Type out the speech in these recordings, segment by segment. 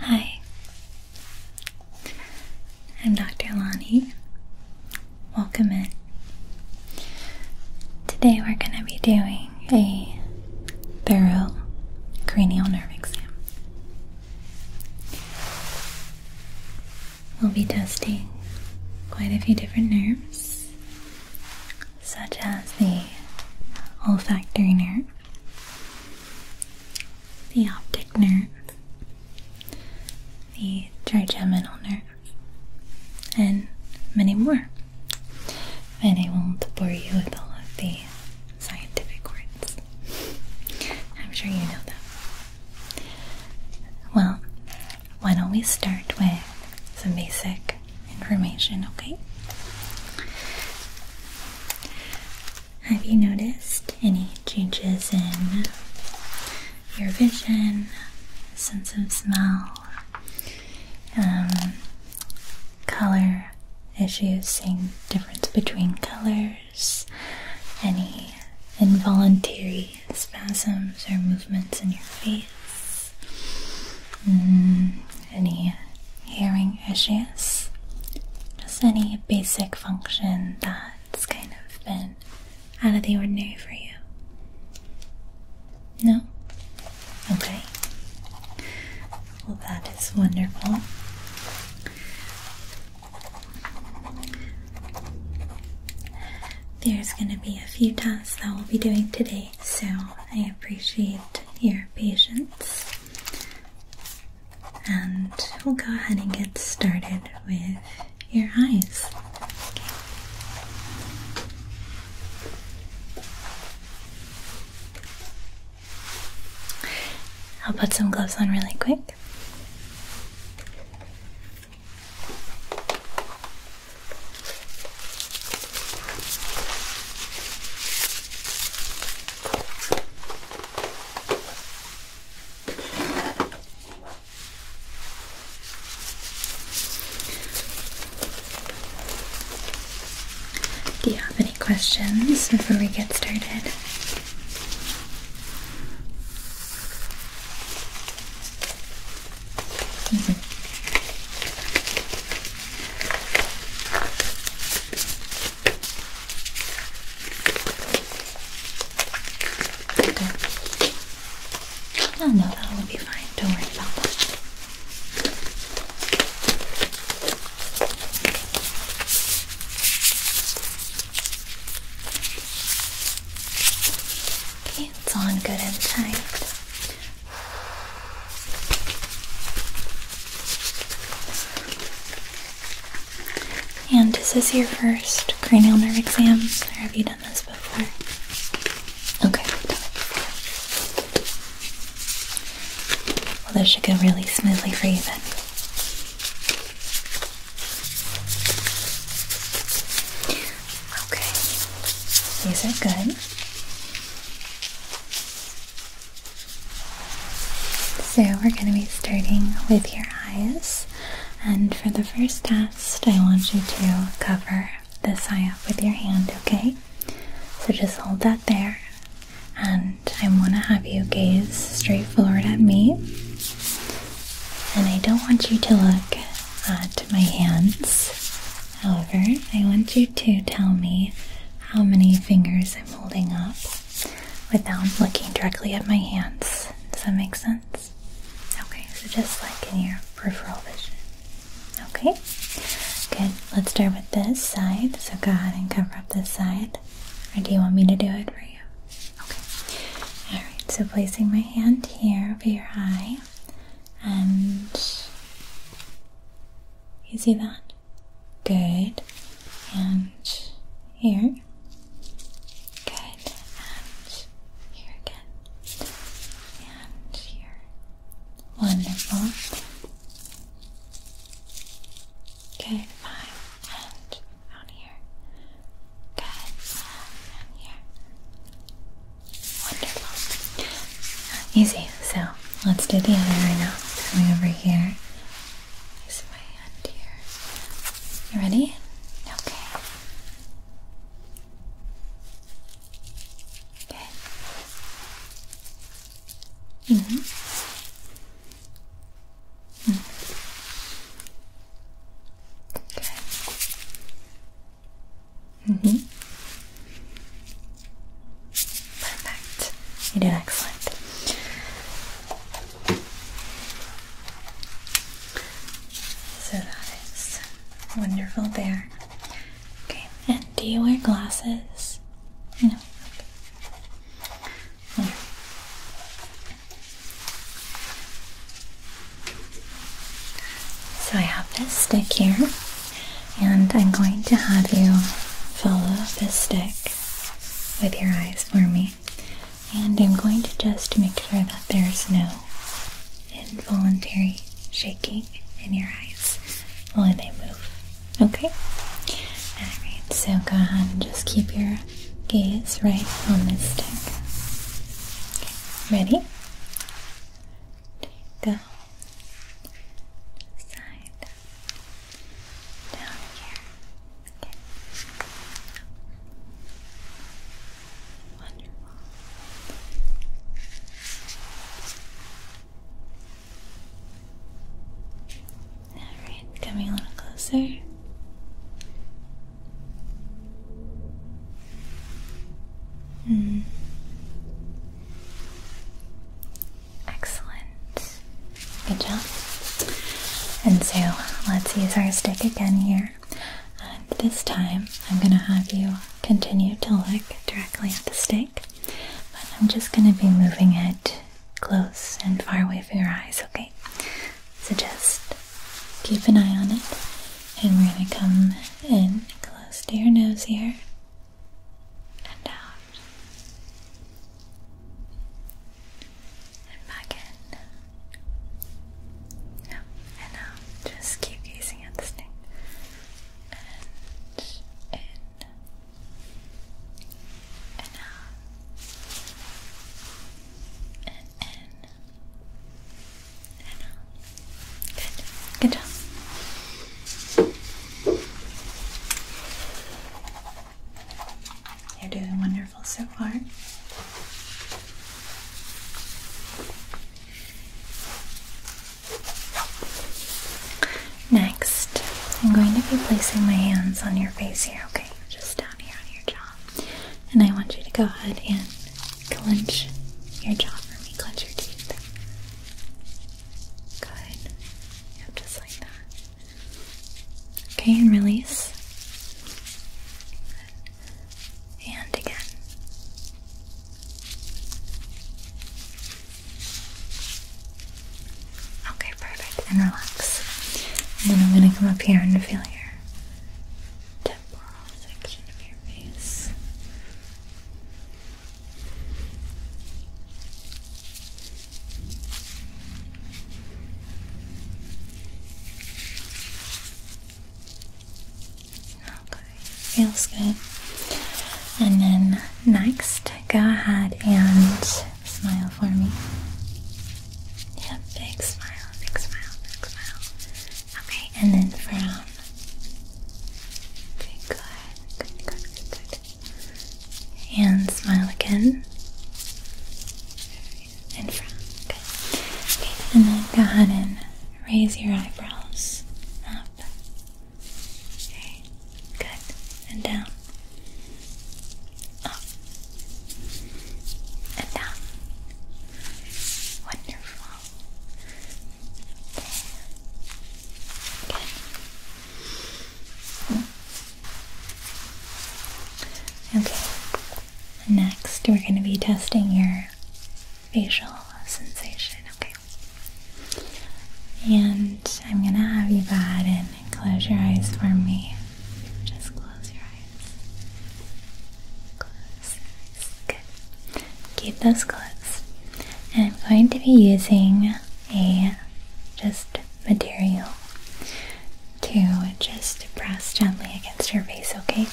Hi, I'm Dr. Lonnie. Welcome in. Today we're going to be doing a thorough cranial nerve exam. We'll be testing quite a few different nerves, such as the olfactory nerve the optic nerve, the trigeminal nerve, and many more. And I won't bore you with all of the scientific words. I'm sure you know them. Well, why don't we start with some basic information, okay? Have you noticed any changes in your vision, sense of smell, um, color issues, seeing difference between colors, any involuntary spasms or movements in your face? Mm-hmm any hearing issues, just any basic function that's kind of been out of the ordinary for you. No? Okay. Well, that is wonderful. There's going to be a few tasks that we'll be doing today, so I appreciate your patience. And we'll go ahead and get started with your eyes. I'll put some gloves on really quick. Do you have any questions before we get started? Mm-hmm. Okay. No, that will be fine. Don't worry about that. Okay, it's on good and tight. And this is your first cranial nerve exam, have you done this before? Okay, Well, this should go really smoothly for you then. Okay, these are good. So we're going to be starting with your eyes. And for the first test, I want you to cover this eye up with your hand, okay? So just hold that there. And I want to have you gaze straight forward at me. And I don't want you to look at my hands. However, I want you to tell me how many fingers I'm holding up without looking directly at my hands. Does that make sense? Okay, so just like in your peripheral vision. Okay, good. Let's start with this side. So go ahead and cover up this side. Or do you want me to do it for you? Okay. Alright, so placing my hand here over your eye. And you see that? Good. And here. Good. And here again. And here. Wonderful. Good. Fine. And down here. Good. And here. Wonderful. Easy. So let's do the other right now. Coming over here. Place my hand here. You ready? Okay. Okay. Mm -hmm. Mm -hmm. Okay. Mm -hmm. Perfect. You did excellent. So that is wonderful there. Okay, and do you wear glasses? No. So I have this stick here, and I'm going to have you follow this stick with your eyes for me. And I'm going to just make sure that there's no involuntary shaking in your eyes when they move. Okay? Alright, so go ahead and just keep your gaze right on this stick. ready? Go. Side down here. Wonderful. coming a little closer. Mm. Excellent. Good job. And so let's use our stick again here. And this time I'm going to have you continue to look directly at the stick. But I'm just going to be moving it close and far away from your eyes, okay? So just keep an eye on it. And we're going to come in close to your nose here and out. And back in. No, and now just keep gazing at this thing. And in. And out. And in. And out. Good. Good job. You're doing wonderful so far. Next, I'm going to be placing my hands on your face here, okay? Just down here on your jaw. And I want you to go ahead and clench your jaw for me. Clench your teeth. Good. Yep, just like that. Okay, and release. And again. Okay, perfect. And relax. And then I'm going to come up here and feel your temporal section of your face feels good. And then next, go ahead and smile for me. Yeah, big smile, big smile, big smile. Okay, and then frown. Okay, good, good, good. And smile again. And frown. Okay. And then go ahead and raise your eyebrows up. Okay. Good. And down. Up. And down. Wonderful. Okay. Good. Okay, next we're going to be testing your facial sensation, okay? And I'm going to have you go and close your eyes for me. Just close your eyes. Close Good. Keep those closed. And I'm going to be using a just material to just press gently against your face, okay?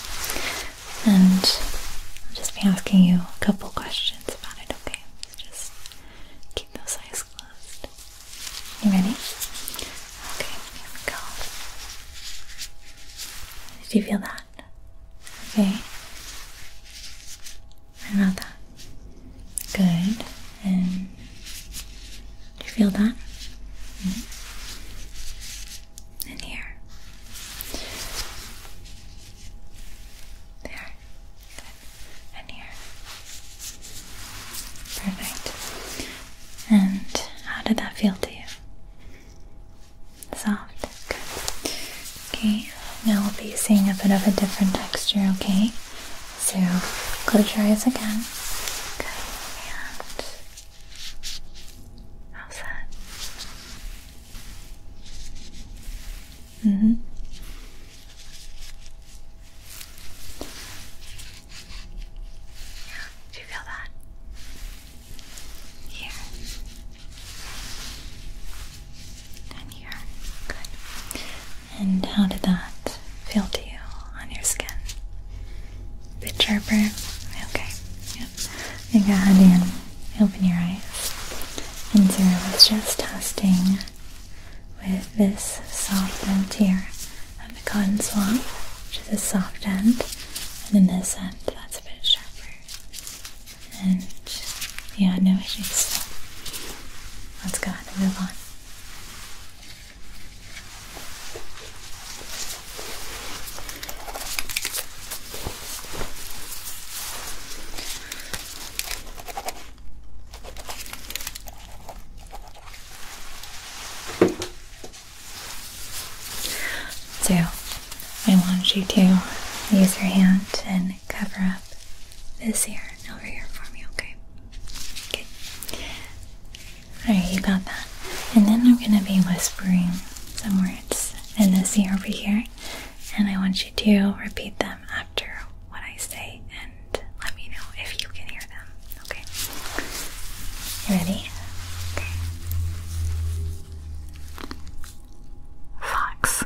And I'll just be asking you a couple questions about it, okay? just keep those eyes closed. You ready? Okay, here we go. Did you feel that? Okay. What about that? Good. And do you feel that? Mm-hmm. And here. There. Good. And here. Perfect. And how did that feel to you? Soft. Good. Okay. Now we'll be seeing a bit of a different texture, okay? So close your eyes again. Good. how's that? Mm-hmm. Yeah, do you feel that? Here. And here. Good. And how did that feel to you on your skin? bit sharper? Okay. Yep. I think I had in open your eyes. And Zero was just testing with this soft end here of the cotton swab, which is soft end, and then this end that's a bit sharper. And yeah, no issues. Let's go ahead and move on. So, I want you to use your hand and cover up this ear over here for me, okay? Alright, you got that. And then I'm gonna be whispering some words in this ear over here, and I want you to repeat them after what I say and let me know if you can hear them. Okay. ready? Fox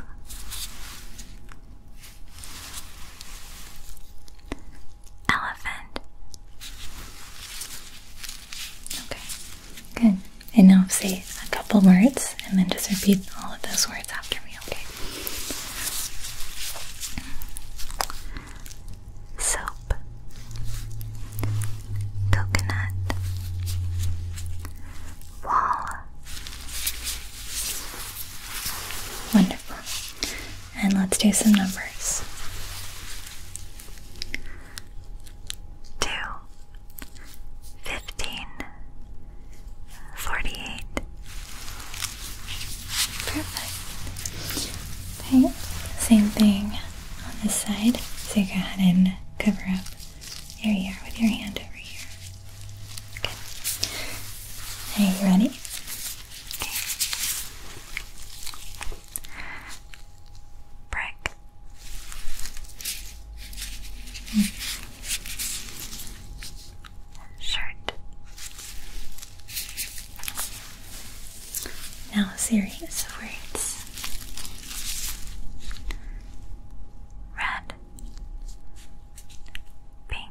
elephant. Okay, good. And now say a couple words and then just repeat all of those words after me, okay? Soap, coconut, wall. Wonderful and let's do some numbers. Two, fifteen, forty-eight. Perfect. Okay, same thing on this side. So you go ahead and cover up you are with your hand over here. Good. Are you ready? Brick. Shirt. Now a series of words. Red. Pink.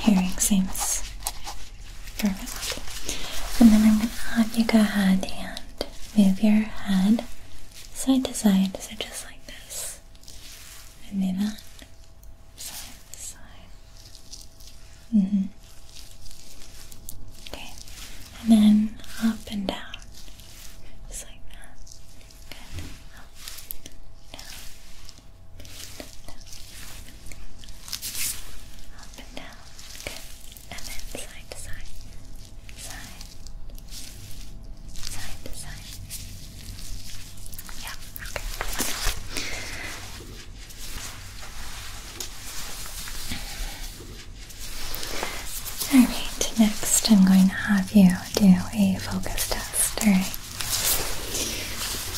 hearing seems perfect. And then I'm going to have you go ahead and move your head side to side, so just like this. And move side to side. Mm-hmm. Okay, and then up and down, just like that. Up, down, up and then side to side. Side. Side to side. Yeah, okay. Alright, next I'm going to have you do a focus test.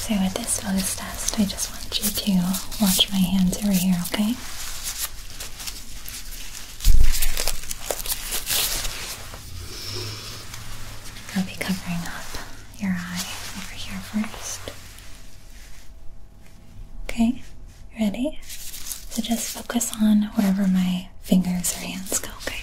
So with this nose test, I just want you to watch my hands over here, okay? I'll be covering up your eye over here first. Okay, ready? So just focus on wherever my fingers or hands go, okay?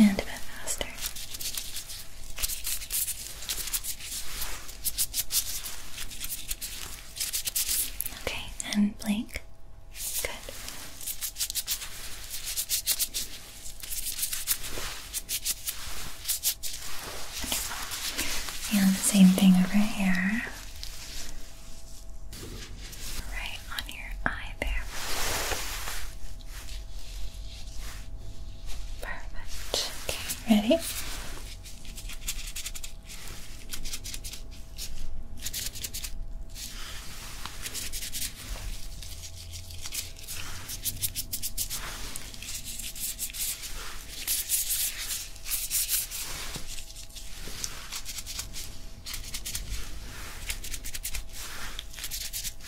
and a bit faster. Okay, and blink. Good. Wonderful. And the same thing over here. All right on your eye there. Perfect. Okay, ready?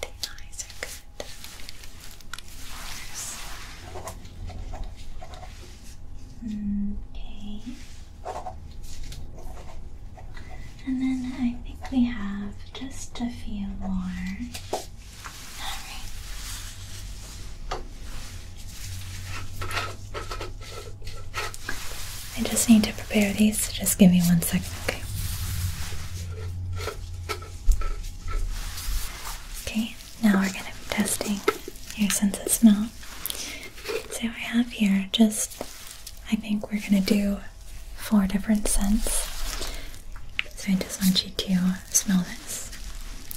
The eyes are good. Okay. And then I think we have just a few more. I just need to prepare these, so just give me one second, okay? Okay, now we're going to be testing your sense of smell. So I have here just, I think we're going to do four different scents. So I just want you to smell this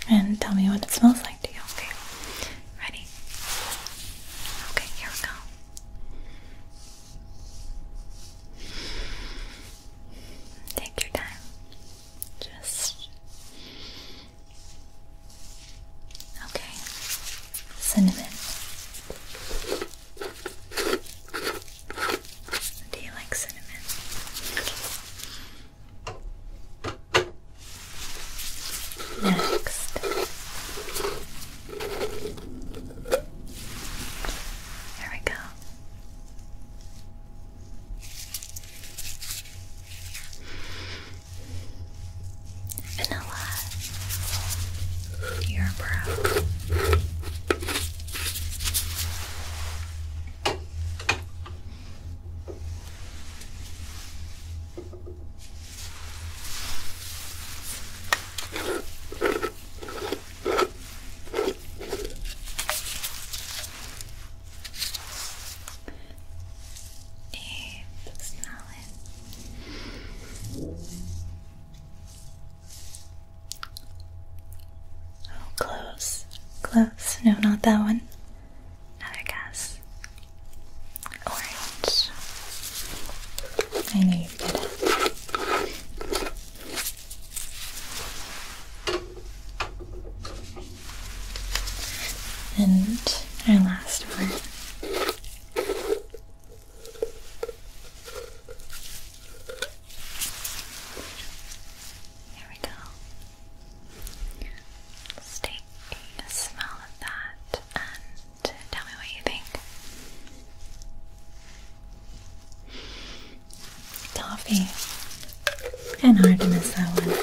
and tell me what it smells like to you. Okay, ready? Okay, here we go. Take your time. Just okay. Cinnamon. Do you like cinnamon? Next, here we go. Vanilla, your brow. And smell it. Oh, close, close. No, not that one. Another guess. Orange. I knew and our last one. There we go. take a smell of that and tell me what you think. Toffee. And hard to miss that one.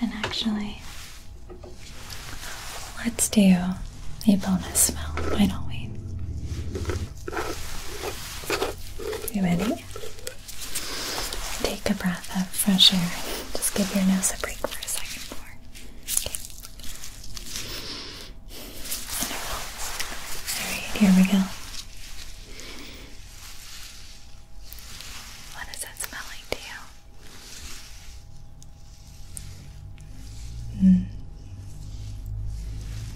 And actually, let's do a bonus smell, why don't we? You ready? Take a breath of fresh air. Just give your nose a break for a second more. Okay. All right, here we go. What does that smell like to you? Hmm.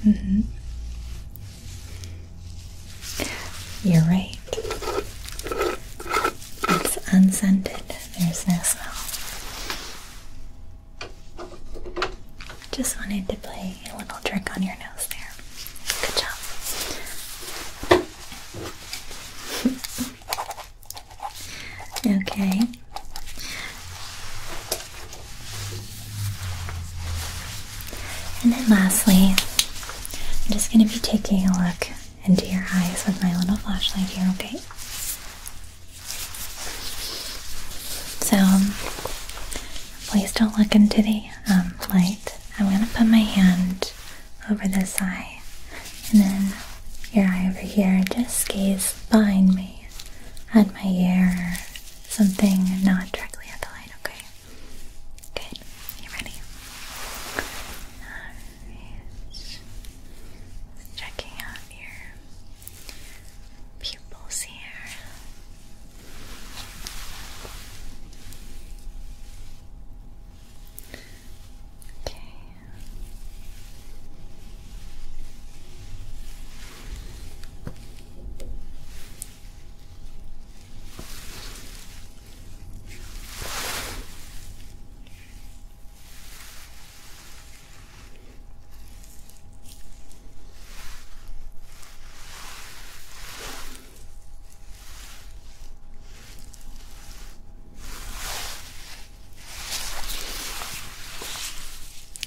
Mm-hmm. You're right. It's unscented. There's no smell. Just wanted to play a little trick on your nose there. Good job. okay. And then lastly, I'm just going to be taking a look into your eyes with my little flashlight here, okay? So um, please don't look into the um, light. I'm going to put my hand over this eye and then your eye over here. Just gaze behind me at my ear something not directly at the light, okay? Good. You ready? Checking out your pupils here. Okay.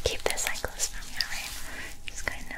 Keep this eye close for me, Just kind of.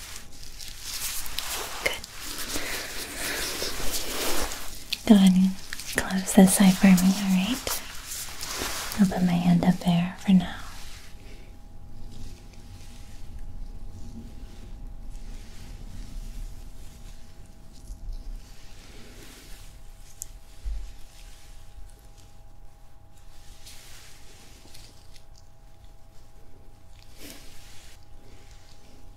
Good. Go ahead and close this eye for me, alright? I'll put my hand up there for now.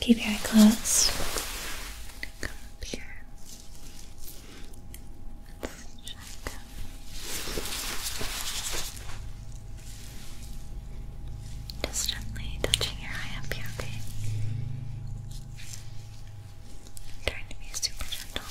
Keep your eye closed. Come here. Just gently touching your eye up here, trying to be super gentle.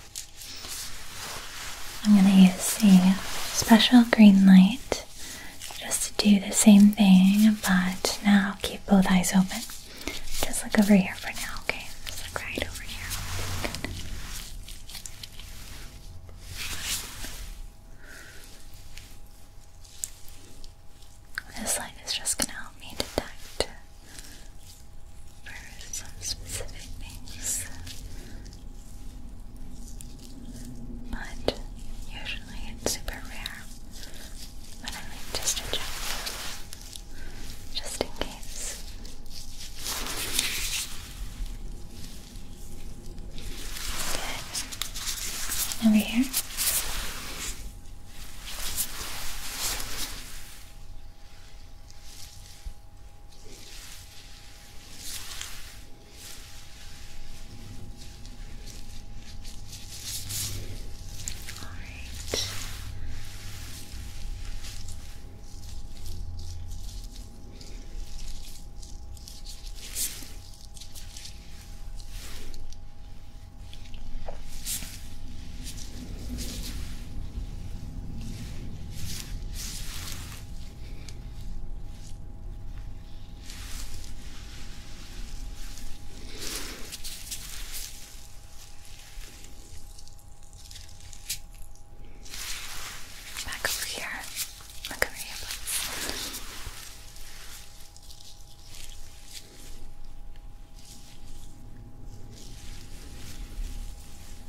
I'm going to use the special green light just to do the same thing, but now keep both eyes open. Just look over here for now, okay? Just look right over here. This light is just going to help me detect for some specific things, but usually it's super rare. But I like just to just in case. Good. Over here. All right. All Back over here. Look over here,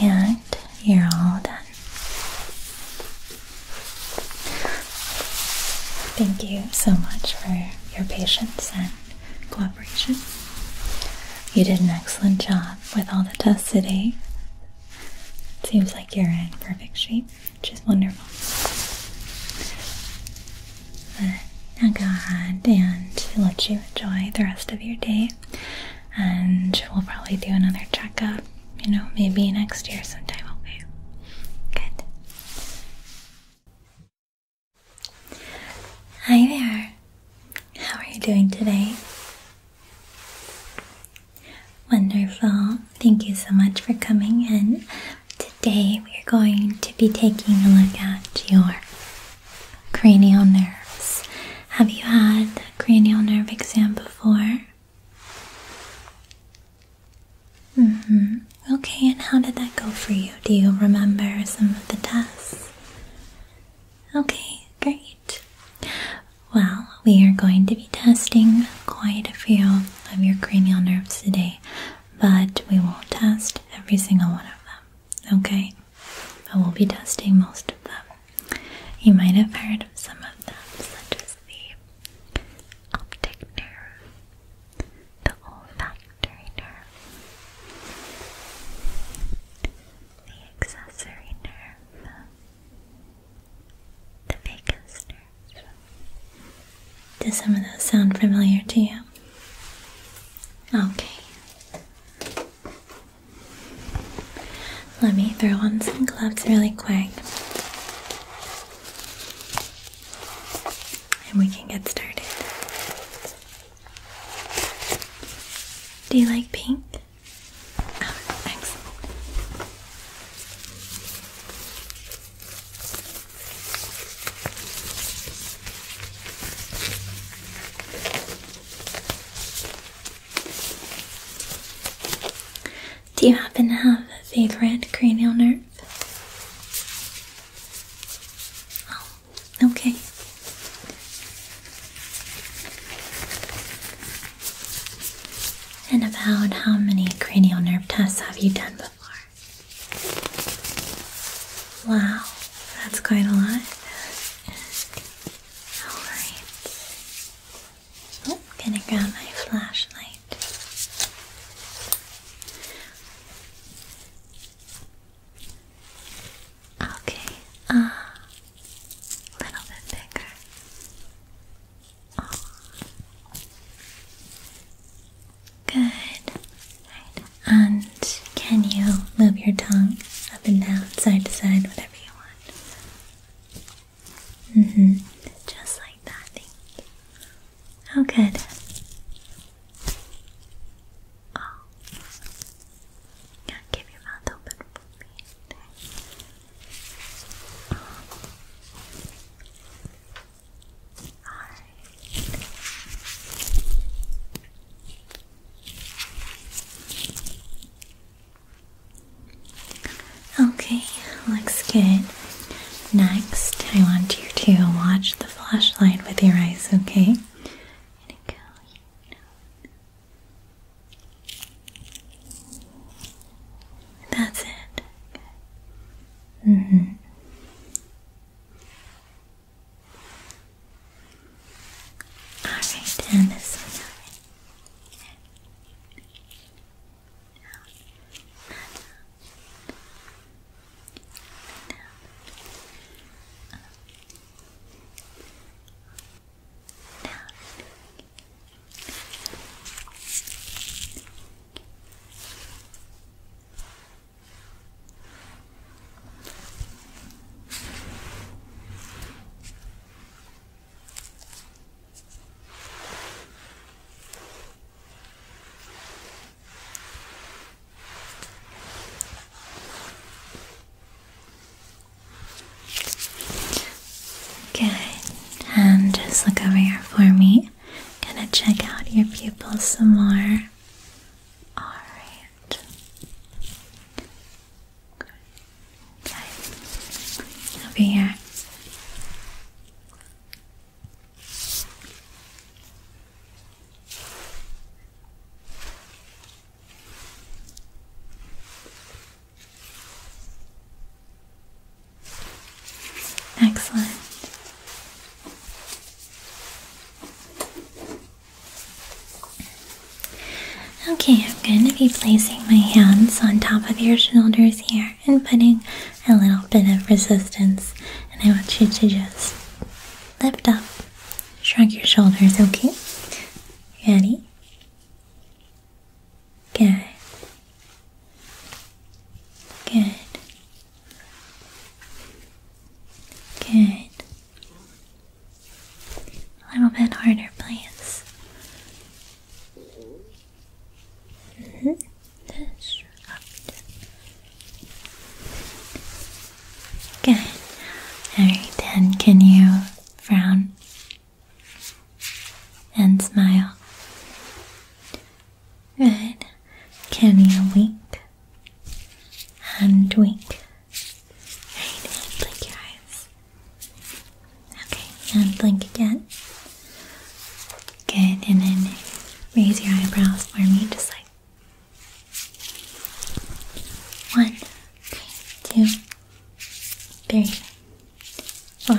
And you're all done. Thank you so much for your patience and cooperation. You did an excellent job with all the tests today. Seems like you're in perfect shape, which is wonderful. But now go ahead and let you enjoy the rest of your day and we'll probably do another checkup, you know, maybe next year sometime, okay? Good. Hi there. How are you doing today? Wonderful. Thank you so much for coming in. Today we are going to be taking a look at your cranial nerves. Have you had a cranial nerve exam before? hmm Okay, and how did that go for you? Do you remember some of the tests? Okay, great. Well, we are going to be testing quite a few of your cranial nerves today, but we won't test every single one of them. Okay? but we'll be testing most of them. You might have heard of some of them, such as the optic nerve, the olfactory nerve, the accessory nerve, the vagus nerve. Does some of those sound familiar to you? Okay. Let me throw on some gloves really quick. And we can get started. Do you like pink? Oh, excellent. Do you happen to have a favorite cranial nerve? Oh, okay. And about how many cranial nerve tests have you done before? Wow, that's quite a lot. Alright. right. Oh, gonna grab my flashlight. Okay, a uh, little bit bigger. Oh. Good. Right. And can you move your tongue up and down, side to side, whatever you want? hmm. Just like that. Thank you. Oh, good. Oh. can your mouth open for me. Okay, looks good. Next, I want you to watch the flashlight with your eyes, okay? Go. That's it. Mm -hmm. Alright, and this one over. Down. Down. Down. Down. Okay. Good. And just look over here for me. Gonna check out your pupils some more. Alright. Okay. Over here. Excellent. Okay, I'm going to be placing my hands on top of your shoulders here and putting a little bit of resistance. And I want you to just lift up, shrug your shoulders, okay? Ready? Good. Good. Good. A little bit harder, please. Good. Alright, then can you frown and smile? Good. Can you wink and wink? Okay, and blink again. Good, and then raise your eyebrows for me, just like one, two, three, four.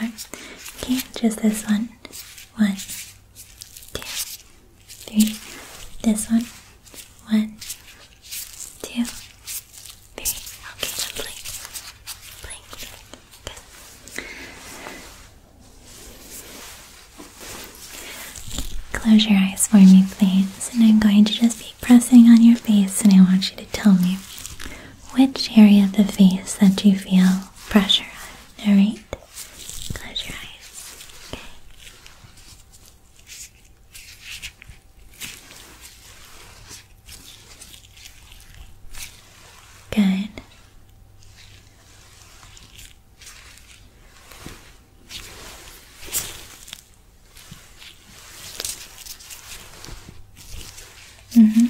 Okay, just this one. One, two, three. This one. One, two, three. Okay, just blink, Good. Close your eyes for me, please. And I'm going to just be pressing on your face, and I want you to tell me which area of the face that you feel pressure on. Alright? Close your eyes. Okay. Good. Mm-hmm.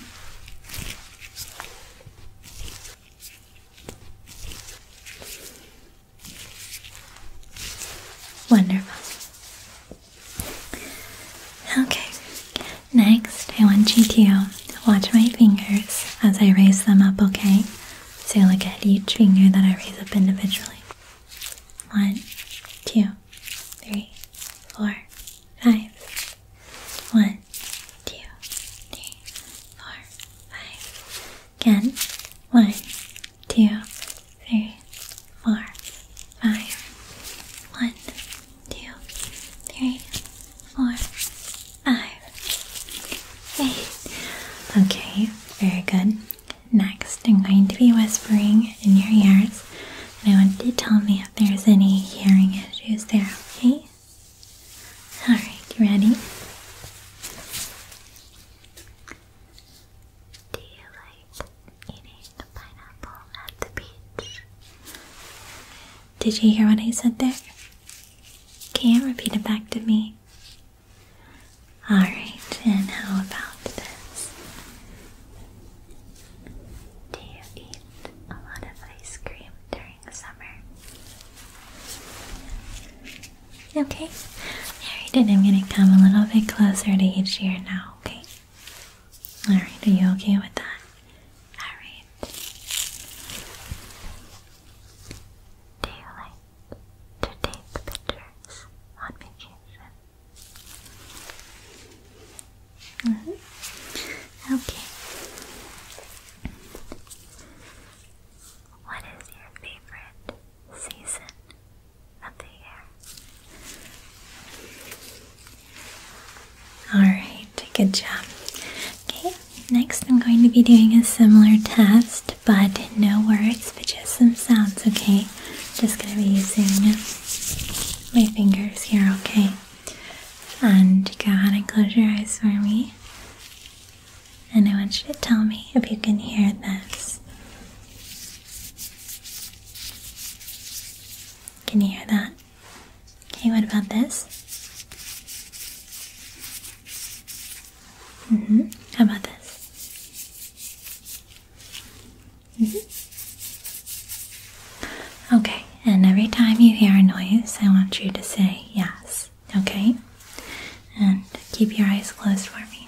Wonderful. Okay, next I want you to watch my fingers as I raise them up, okay? So look at each finger that I raise up individually. One, two, three, four, five. One, two, three, four, five. Again. One, two, three, four, five. One, two, Okay, very good. Next, I'm going to be whispering in your ears, and I want you to tell me if there's any hearing issues there, okay? Alright, you ready? Do you like eating pineapple at the beach? Did you hear what I said there? Can you repeat it back to me? Alright, and how about this? Do you eat a lot of ice cream during the summer? Okay, alright, and I'm gonna come a little bit closer to each ear now, okay? All right, are you okay with that? All right. Do you like to take pictures on vacation? Mm-hmm. Okay. What is your favorite season Alright, good job. Okay, next I'm going to be doing a similar test, but no words, but just some sounds, okay? Just going to be using my fingers here, okay? And go ahead and close your eyes for me. And I want you to tell me if you can hear this. Can you hear that? Okay, what about this? hmm. How about this? hmm. Okay, and every time you hear a noise, I want you to say yes, okay? And keep your eyes closed for me.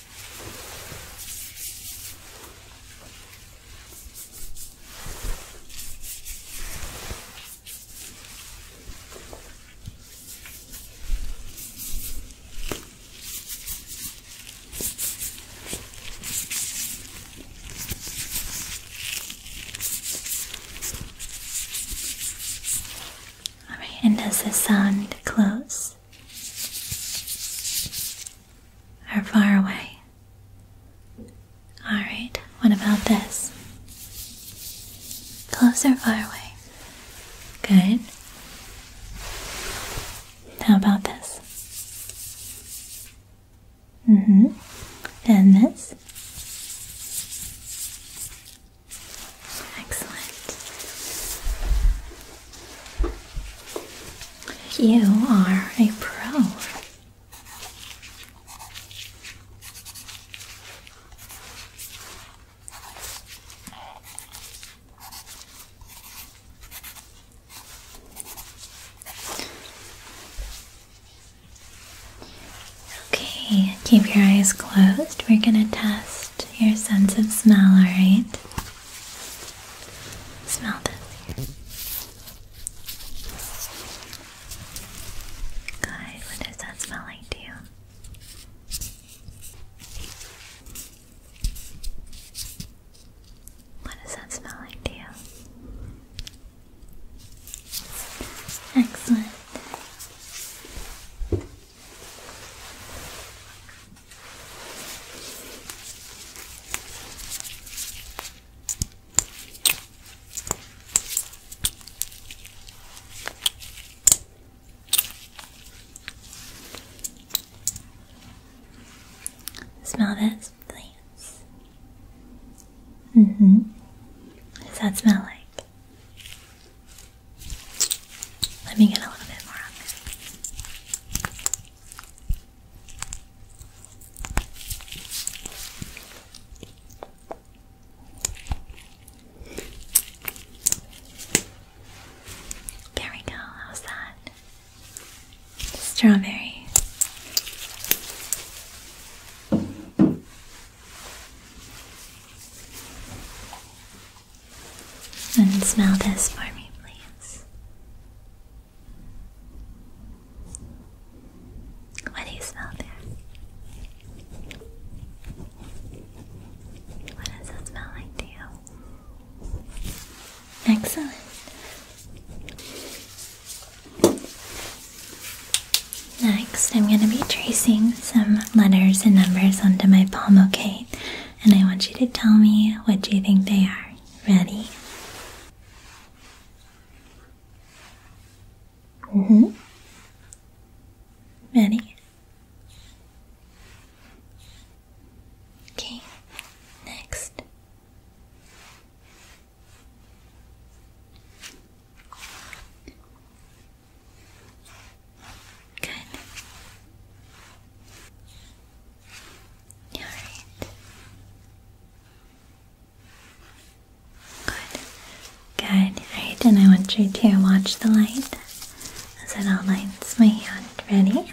Alright, and does this sound close? are far away. Alright, what about this? Closer, far away? Good. How about this? Mm-hmm. And this? Excellent. You are a pro. Okay, keep your eyes closed. We're going to test your sense of smell, alright? Smell this. Guys, what does that smell like to you? What does that smell like to you? Excellent. Smell this, please. Mm-hmm. does that smell like? Let me get a little bit more on this. There we go, how's that? Strawberry. And smell this for me, please. What do you smell there? What does it smell like to you? Excellent. Next, I'm going to be tracing some letters and numbers onto my palm, okay? And I want you to tell me what you think they are. Ready? Mm-hmm. Ready? Okay, next. Good. All right. Good. Good. Alright, and I want you to watch the light as it all lights? my hand. Ready?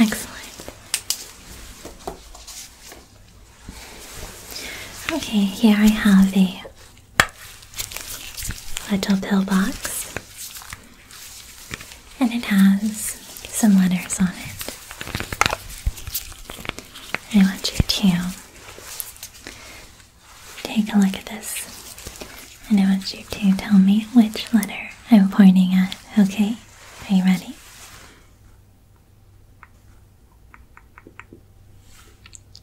Excellent. Okay, here I have a little pill box, and it has some letters on it. I want you to Take a look at this. And I want you to tell me which letter I'm pointing at, okay? Are you ready?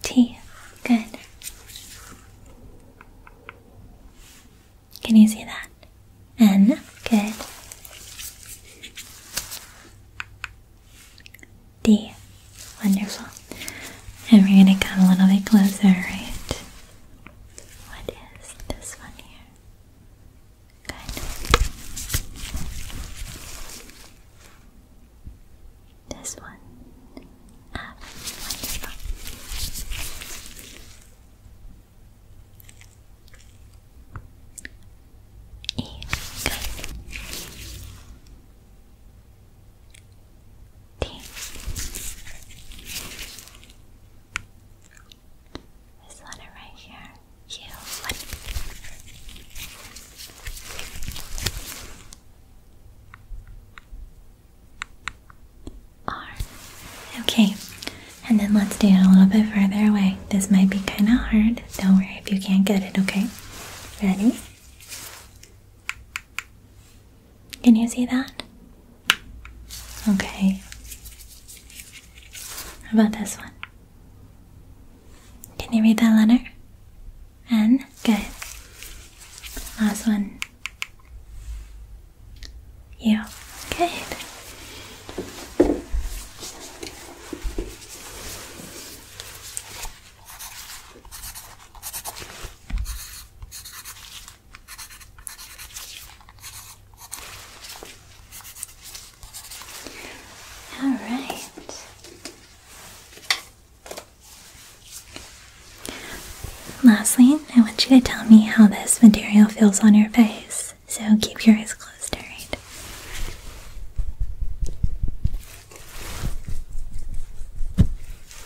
T. Good. Can you see that? N. Good. D. Wonderful. And we're going to come a little bit closer, right? What is this one here? Good. This one. Ah, e. Good. This letter right here. You. Okay, and then let's do it a little bit further away. This might be kind of hard. Don't worry if you can't get it, okay? Ready? Can you see that? Okay. How about this one? Can you read that letter? N? Good. Last one. You. Okay. All right. Lastly, I want you to tell me how this material feels on your face. So keep your eyes closed, alright?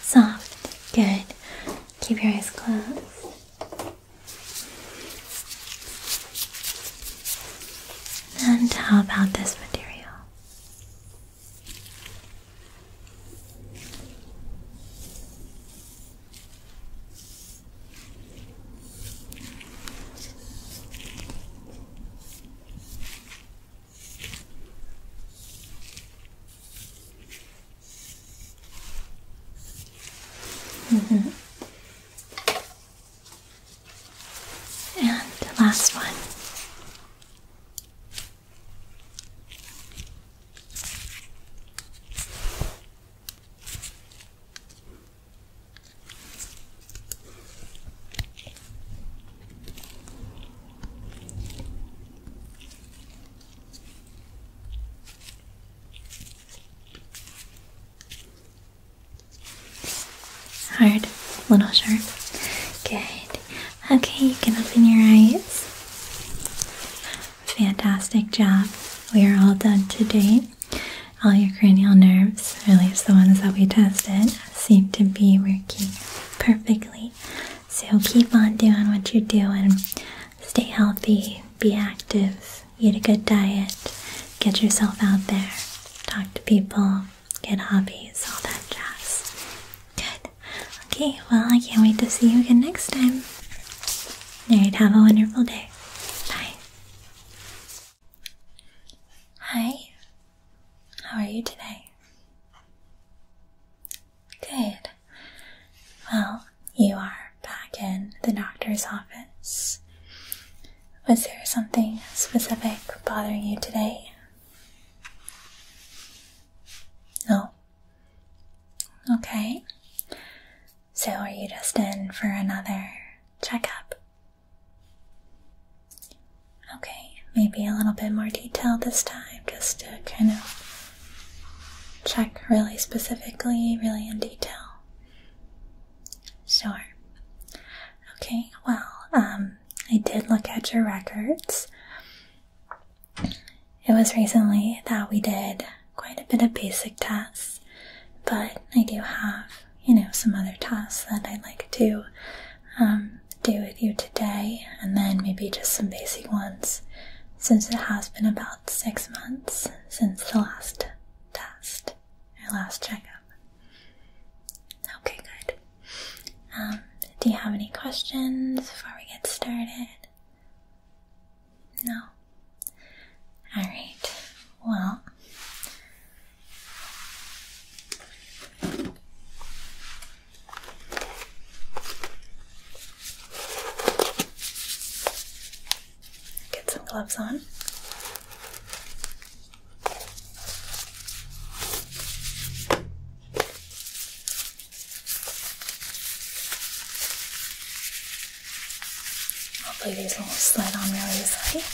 Soft. Good. Keep your eyes closed. And how about this material? Mm -hmm. And the last one. Hard, little sharp. Good. Okay, you can open your eyes. Fantastic job. We are all done today. All your cranial nerves, at least the ones that we tested, seem to be working perfectly. So keep on doing what you're doing. Stay healthy, be active, eat a good diet, get yourself out there, talk to people, get hobbies, all that jazz. Good. Okay, well, I can't wait to see you again next time. And have a wonderful day. Bye. Hi, how are you today? Good. Well, you are back in the doctor's office. Was there something specific bothering you today? No. Okay. So, are you just in for another checkup? Okay maybe a little bit more detail this time just to kind of check really specifically, really in detail. Sure. Okay, well, um, I did look at your records. It was recently that we did quite a bit of basic tests, but I do have, you know, some other tests that I'd like to um, do with you today, and then maybe just some basic ones since it has been about six months since the last test or last checkup. Okay, good. Um, do you have any questions before we get started? No? Alright, well. Get some gloves on. Hopefully these will slide on really easily.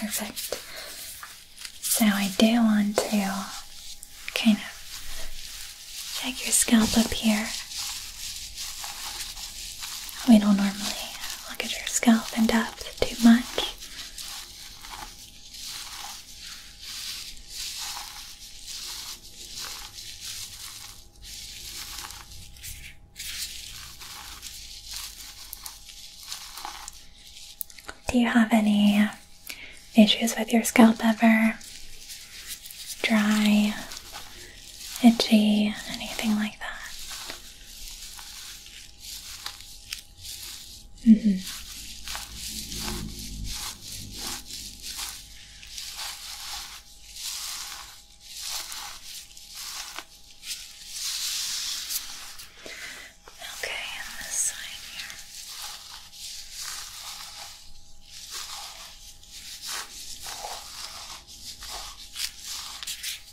Perfect. So I do want to kind of check your scalp up here. We don't normally look at your scalp in depth too much. Do you have any issues with your scalp ever? Dry, itchy, anything like that? Mm -hmm. Okay, and this side here.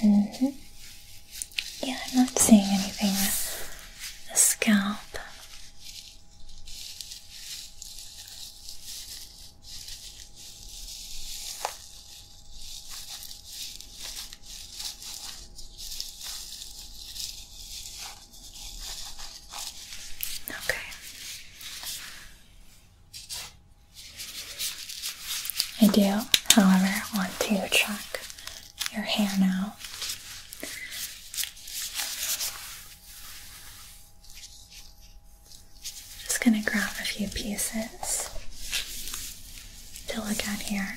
Mm -hmm. Yeah, I'm not seeing anything with the scalp. Okay. I do, however, I want to check your hair now. Just going to grab a few pieces to look at here.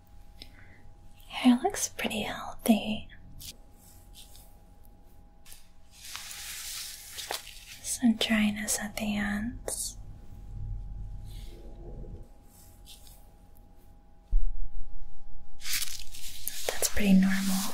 Hair looks pretty healthy. Some dryness at the ends. That's pretty normal.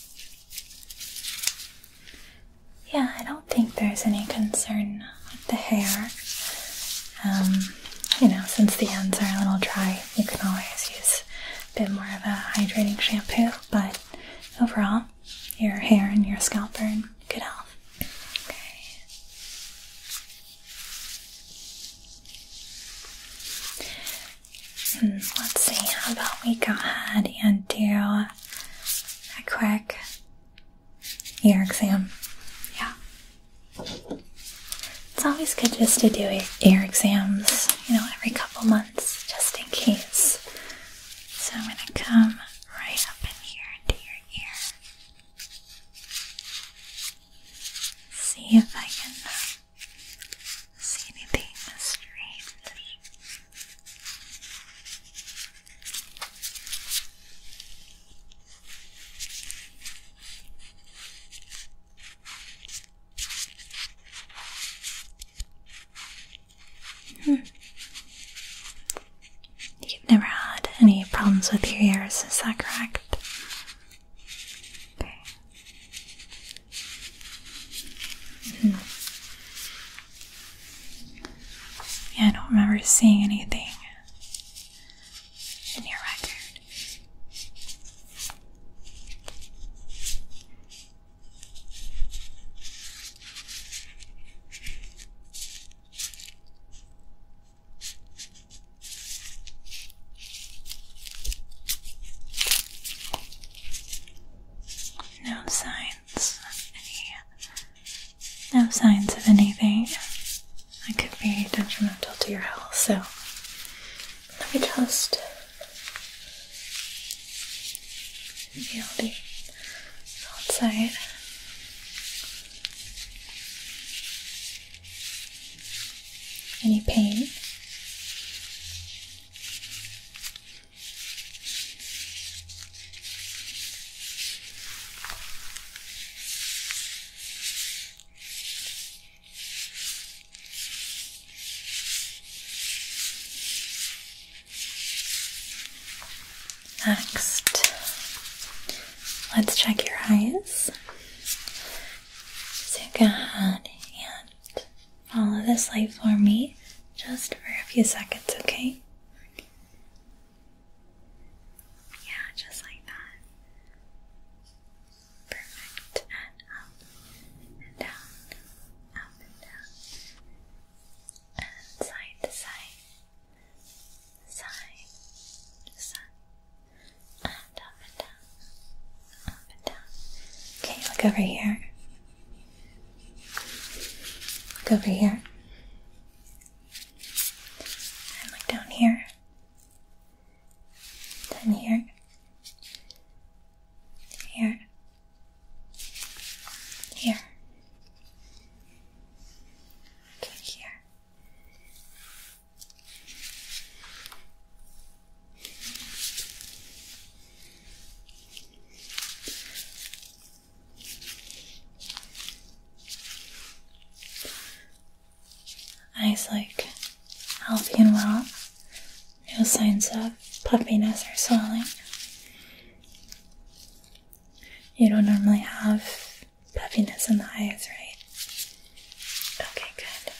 Yeah, I don't think there's any concern with the hair. Um, you know, since the ends are a little dry, you can always use a bit more of a hydrating shampoo, but overall, your hair and your scalp are in good health. Okay. Hmm, let's see, how about we go ahead and do a quick ear exam? Yeah. It's always good just to do ear exams, you know, every couple months, just in case. So I'm going to come right up in here into your ear. See if I can see anything strange. Hmm. You've never had any problems with your ears, is that correct? Okay. Hmm. Yeah, I don't remember seeing anything in your record. No signs of no signs of anything that could be detrimental to your health. So let me just feel the outside. Any pain? Next, let's check your eyes. So go ahead follow this light for me just for a few seconds, okay? Yeah, just like that. Perfect. And up and down, up and down, and side to side, side side, and up and down. Okay, look over here. Look over here. And look down here. Then here. Here. Here. Okay, here. Eyes like healthy and well. No signs of puffiness or swelling. You don't normally have puffiness in the eyes, right? Okay, good.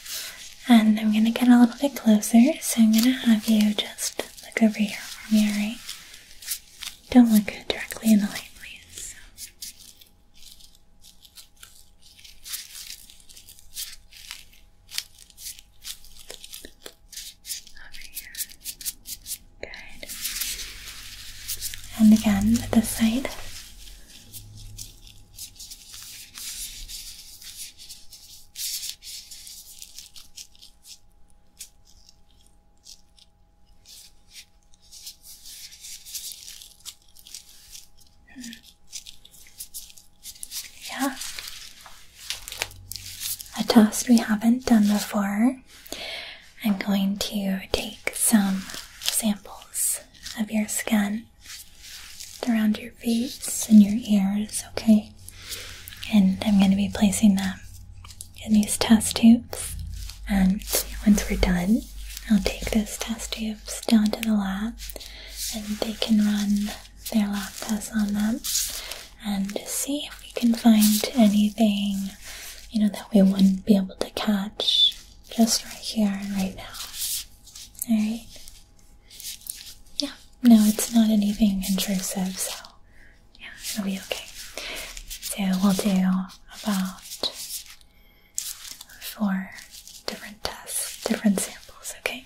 And I'm going to get a little bit closer, so I'm going to have you just look over here for me, alright? Don't look directly in the light, please. Over here. Good. And again, with this side. Yeah. A toast we haven't done before. I'm going to take some samples of your skin around your your face and your ears, okay? And I'm going to be placing them in these test tubes. And once we're done, I'll take those test tubes down to the lab and they can run their lab tests on them and see if we can find anything, you know, that we wouldn't be able to catch just right here right now. Alright? Yeah, no, it's not anything intrusive, so yeah, it'll be okay. So we'll do about four different tests, different samples, okay?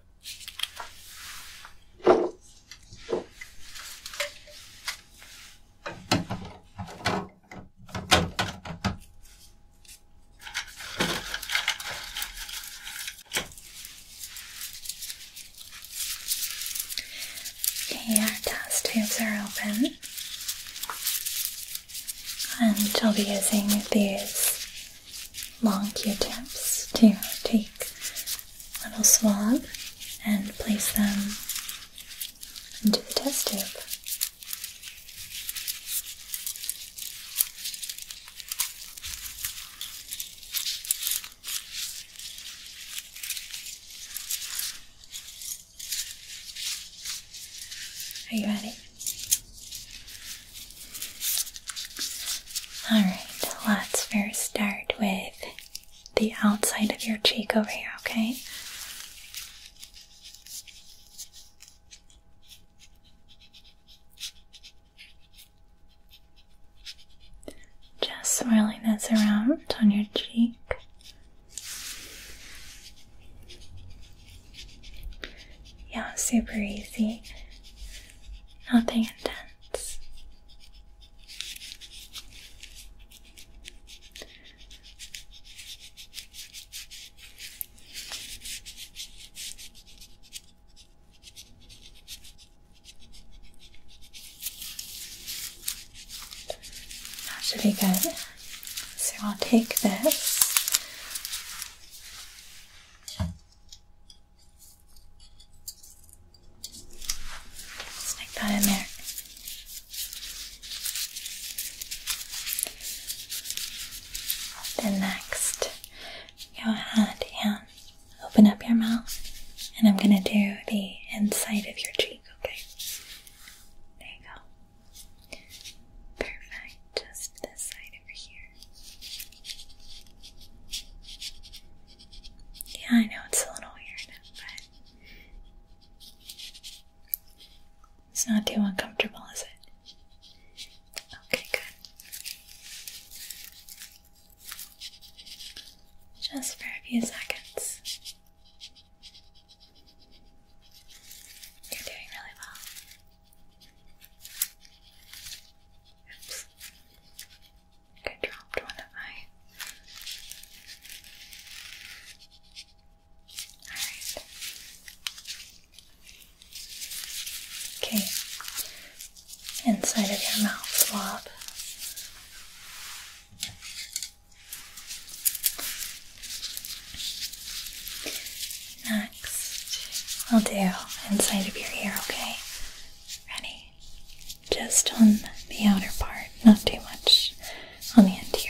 Okay, our test tubes are open, and I'll be using these long Q-tips to take a little swab and place them into the test tube. Are you ready? Alright, let's first start with the outside of your cheek over here, okay? Just swirling this around on your cheek. Yeah, super easy nothing intense. That should be good. So I'll take this Stick that in there. Then next, go ahead and open up your mouth, and I'm gonna do the inside of your cheek, okay? There you go. Perfect. Just this side over here. Yeah, I know it's a little weird, but it's not too uncomfortable, is it? Okay, good. Just for a few seconds. You're doing really well. Oops. I dropped one of my. Alright. Okay. Inside of your mouth swab. Next, we will do inside of your ear, okay? Ready? Just on the outer part, not too much on the interior.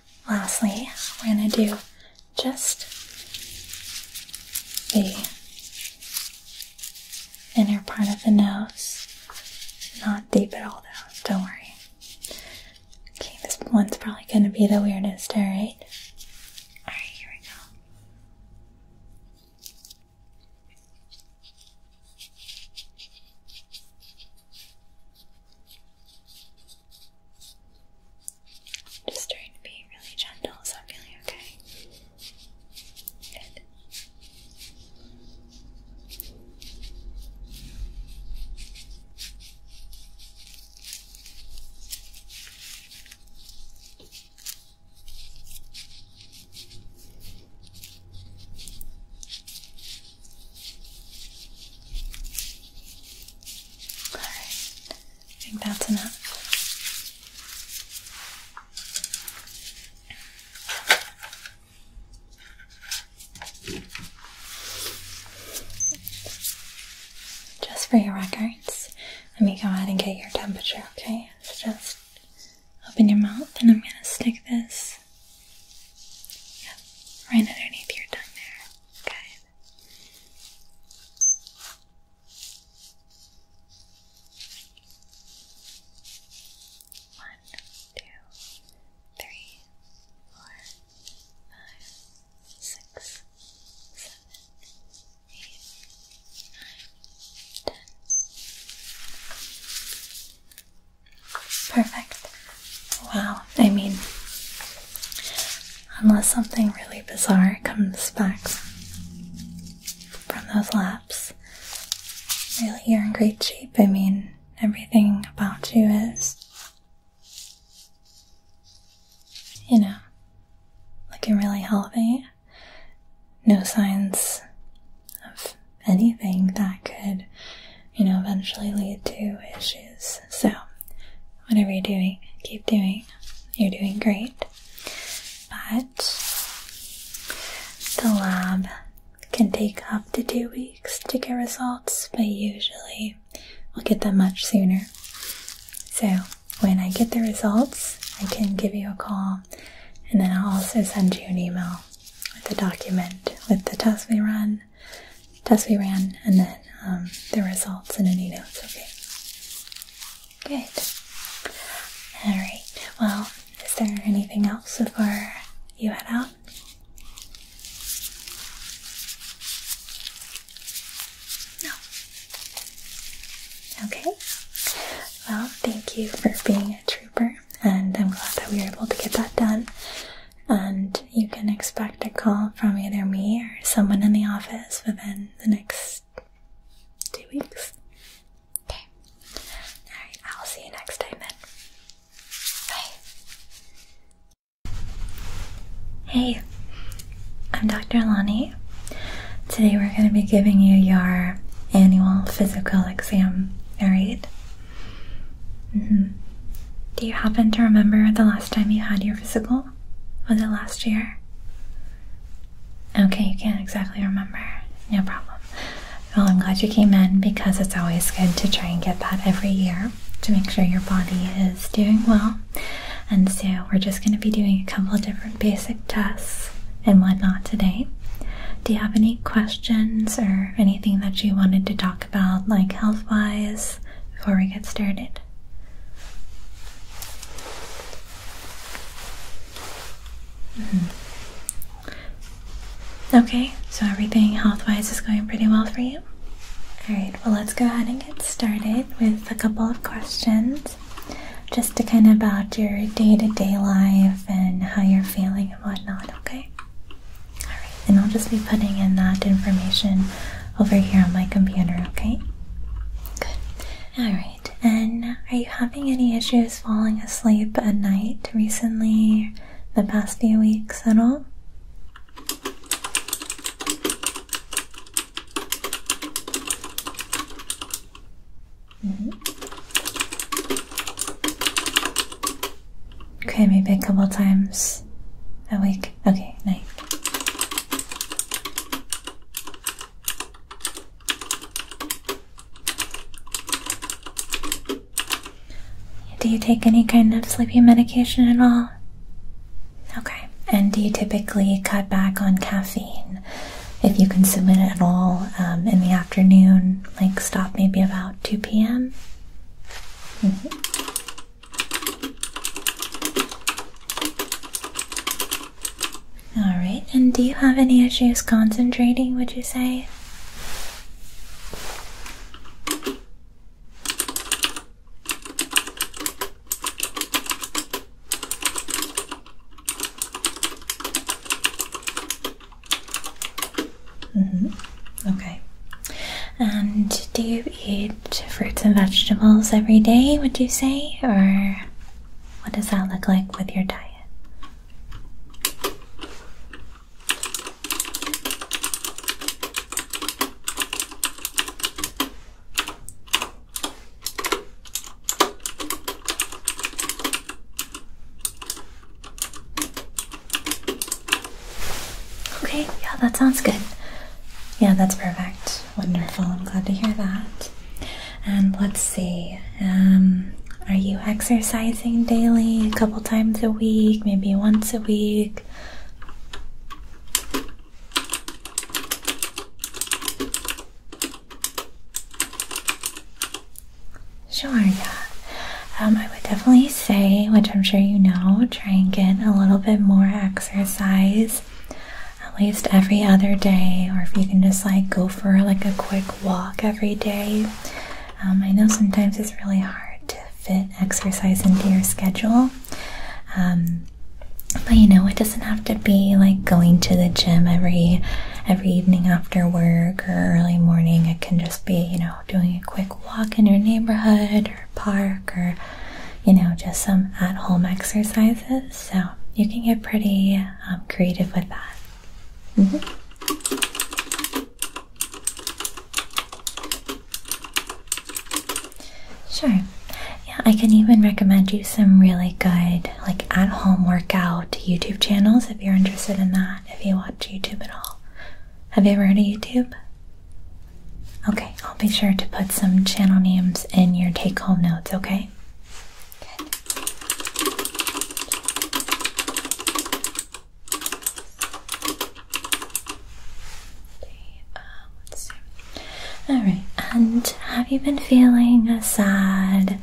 Lastly, we're going to do just the inner part of the nose. Not deep at all, though, don't worry. Okay, this one's probably going to be the weirdest, alright? Alright, here we go. Just trying to be really gentle, so I'm feeling okay. Good. I think that's enough. Just for your records, let me go ahead and get your temperature, okay? So just open your mouth and I'm going to stick this right underneath your tongue there, okay? One, two, three, four, five, six, seven, eight, nine, ten. Perfect. Wow, I mean, unless something really bizarre comes back from those labs. Really, you're in great shape. I mean, everything about you is, you know, looking really healthy. No signs of anything that could, you know, eventually lead to issues. So, whatever you're doing, keep doing. You're doing great. But the lab can take up to two weeks to get results, but usually we'll get them much sooner. So when I get the results, I can give you a call and then I'll also send you an email with the document with the test we run test we ran and then um, the results and any notes, okay? Good. Alright, well, is there anything else before you head out? No. Okay. Well, thank you for being a trooper, and I'm glad that we were able to get that done. And you can expect a call from either me or someone in the office within the next two weeks. Okay. Alright, I'll see you next time then. Bye. Hey, I'm Dr. Lonnie. Today we're going to be giving you your annual physical exam. Alright? Mm-hmm. Do you happen to remember the last time you had your physical? Was it last year? Okay, you can't exactly remember. No problem. Well, I'm glad you came in because it's always good to try and get that every year to make sure your body is doing well. And so, we're just going to be doing a couple of different basic tests and whatnot today. Do you have any questions or anything that you wanted to talk about, like health wise, before we get started? Mm-hmm. Okay, so everything health wise is going pretty well for you. Alright, well, let's go ahead and get started with a couple of questions just to kind of about your day to day life and how you're feeling and whatnot, okay? Alright, and I'll just be putting in that information over here on my computer, okay? Good. Alright, and are you having any issues falling asleep at night recently, the past few weeks at all? Mm-hmm. Okay, maybe a couple times a week. Okay, night. Do you take any kind of sleeping medication at all? Okay. And do you typically cut back on caffeine if you consume it at all um, in the afternoon? Like stop maybe about 2 p.m.? Mm-hmm. Alright, and do you have any issues concentrating, would you say? Mm -hmm. Okay. And do you eat fruits and vegetables every day, would you say? Or what does that look like with your diet? Okay, yeah, that sounds good. Yeah, that's perfect. Wonderful. I'm glad to hear that. And let's see. Um, are you exercising daily? A couple times a week? Maybe once a week? Sure, yeah. Um, I would definitely say, which I'm sure you know, try and get a little bit more exercise at least every other day, or if you can just like go for like a quick walk every day. Um, I know sometimes it's really hard to fit exercise into your schedule. Um, but you know, it doesn't have to be like going to the gym every every evening after work or early morning. It can just be, you know, doing a quick walk in your neighborhood or park or you know, just some at home exercises. So you can get pretty um, creative with that. Mm-hmm. Sure. Yeah, I can even recommend you some really good, like at home workout YouTube channels if you're interested in that, if you watch YouTube at all. Have you ever heard of YouTube? Okay, I'll be sure to put some channel names in your take home notes, okay? Good. Uh, Alright, and have you been feeling sad,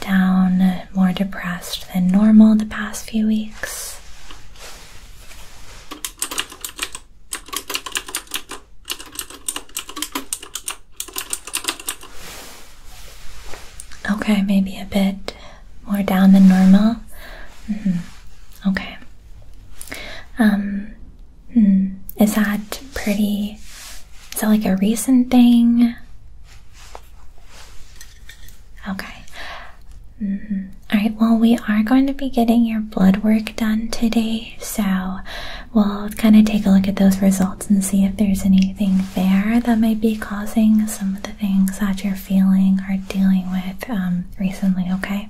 down, more depressed than normal the past few weeks? Okay, maybe a bit more down than normal. Mm-hmm. Okay. Um, hmm, is that pretty? Is that like a recent thing? Okay. Mm-hmm. All right. Well, we are going to be getting your blood work done today, so we'll kind of take a look at those results and see if there's anything there that might be causing some of the things that you're feeling or dealing with um, recently, okay?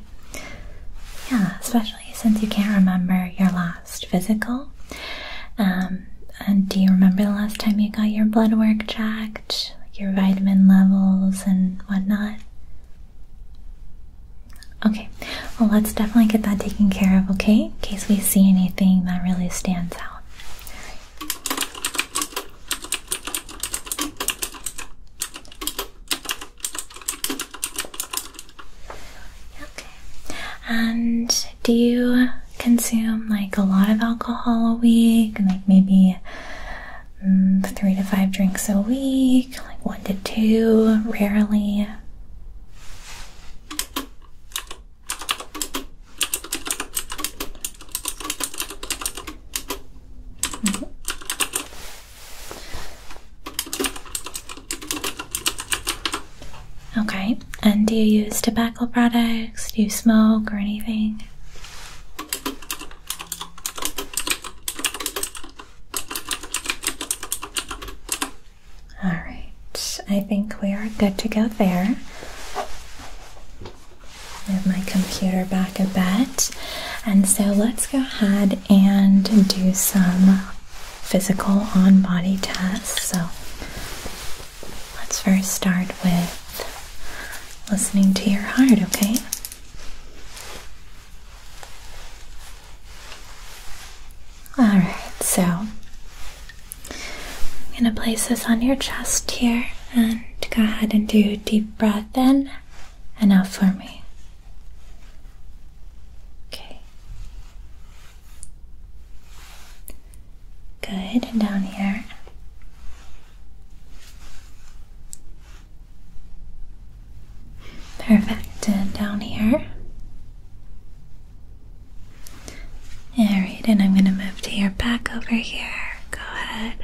Yeah, especially since you can't remember your last physical. Um, and do you remember the last time you got your blood work checked, your vitamin levels and whatnot? Okay, well, let's definitely get that taken care of, okay? In case we see anything that really stands out. Okay, and do you consume like a lot of alcohol a week? Like maybe mm, three to five drinks a week, like one to two, rarely? Mm-hmm. Okay, and do you use tobacco products? Do you smoke or anything? All right, I think we are good to go there. Move my computer back a bit. And so let's go ahead and do some physical on body tests. So let's first start with listening to your heart, okay? Alright, so I'm going to place this on your chest here and go ahead and do a deep breath in and out for me. Okay. Good, and down here. Perfect. down here. Alright, and I'm going to move to your back over here. Go ahead.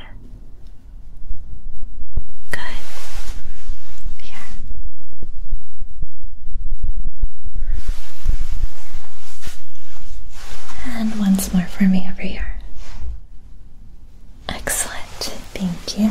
Good. Here. And once more for me over here. Excellent. Thank you.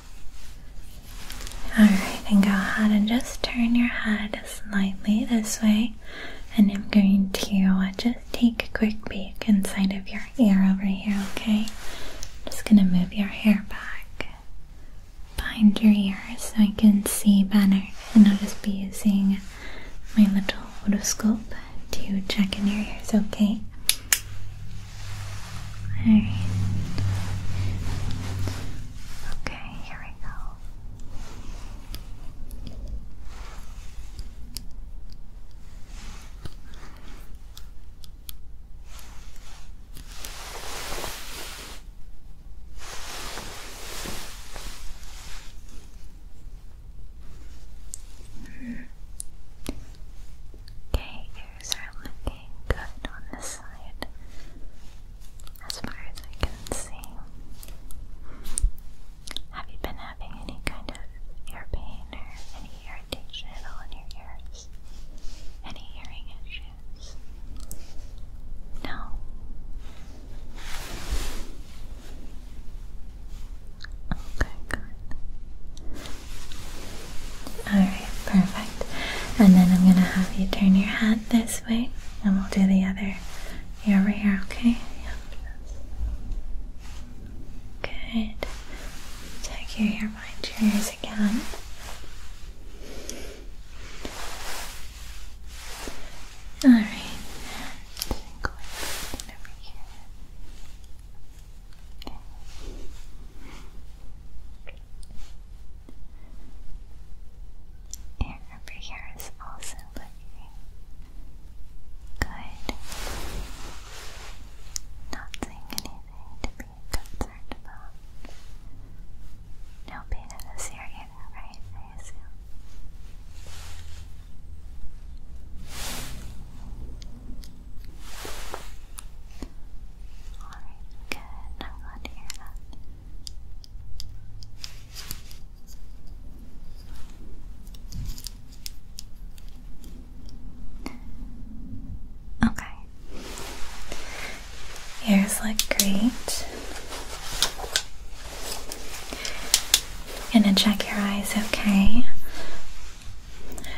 Alright, then go ahead and just turn your head slightly this way, and I'm going to just take a quick peek inside of your ear over here, okay? just gonna move your hair back behind your ear so I can see better, and I'll just be using my little otoscope to check in your ears, okay? Alright. Okay, here we go. Okay, ears are looking good on this side as far as I can see. Have you been having any kind of ear pain or any irritation in your ears? Any hearing issues? No. Okay, good. Alright perfect. And then I'm going to have you turn your head this way and we'll do the other ear over here, okay? Yep. Good. Take your ear behind your ears again. Alright. Air over here is also looking good. Not saying anything to be concerned about. No pain in this area right? I assume. Alright, good. I'm glad to hear that. Okay. Ears look great. gonna check your eyes, okay?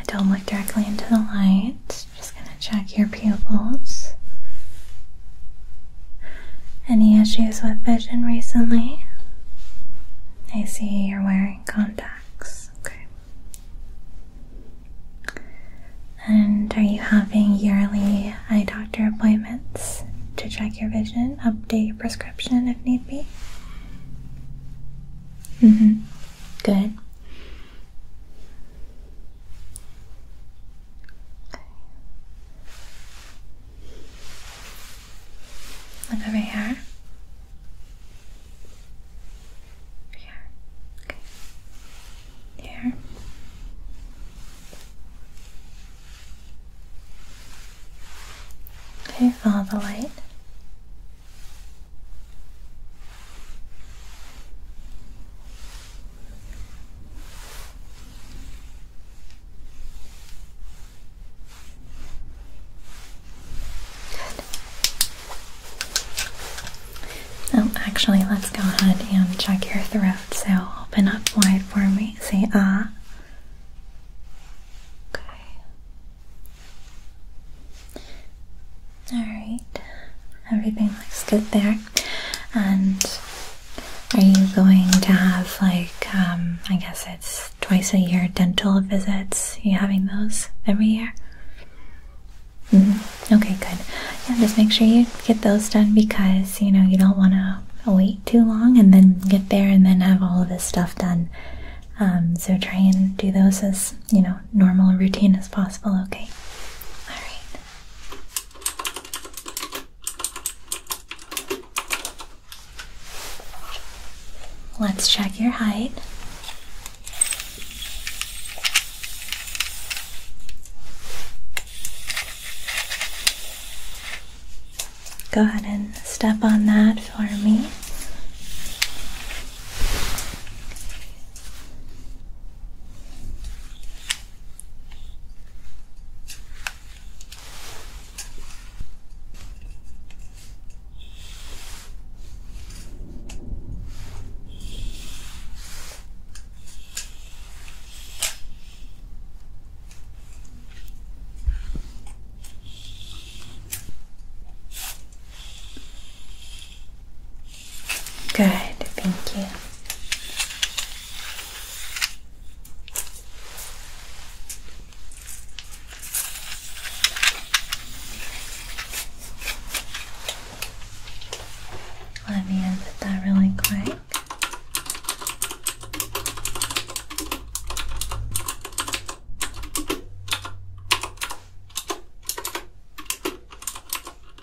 Don't look directly into the light just going to check your pupils. Any issues with vision recently? I see you're wearing contacts. Okay. And are you having yearly eye doctor appointments to check your vision, update your prescription if need be? Mm-hmm. Good. Look over here. here. Okay. Here. Okay, follow the light. Oh, actually, let's go ahead and check your throat. So open up wide for me. Say ah. Okay. All right. Everything looks good there. And are you going to have like um, I guess it's twice a year dental visits? you having those every year? Mm-hmm. Okay, good. Yeah, just make sure you get those done because you know you don't want to wait too long and then get there and then have all of this stuff done. Um, so try and do those as you know normal routine as possible. Okay. All right. Let's check your height. Go ahead and step on that for me. Good, thank you. Let me edit that really quick.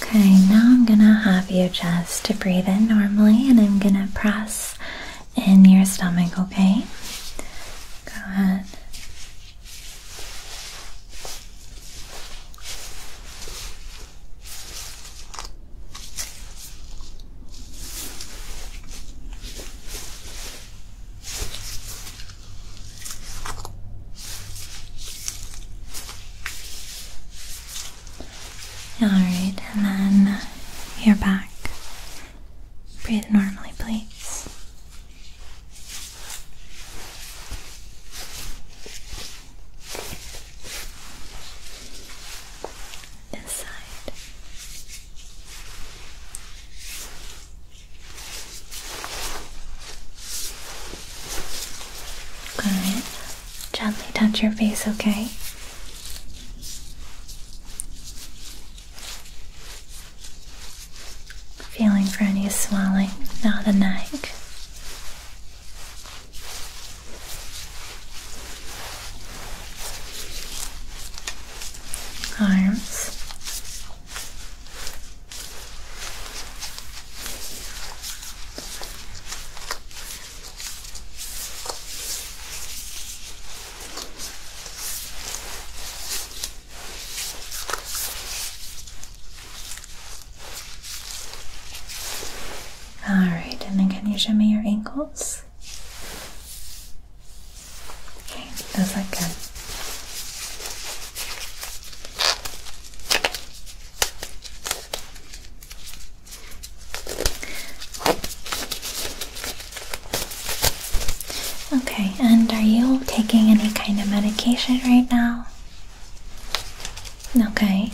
Okay, now I'm gonna have you just to breathe in normally and I'm gonna press in your stomach, okay? Go ahead. Alright, and then your back. Breathe normally, please. This side. Gently touch your face, okay? Feeling for any swelling Now the neck. Arms. All right, and then can you show me your ankles? Okay, does that good? Okay, and are you taking any kind of medication right now? Okay.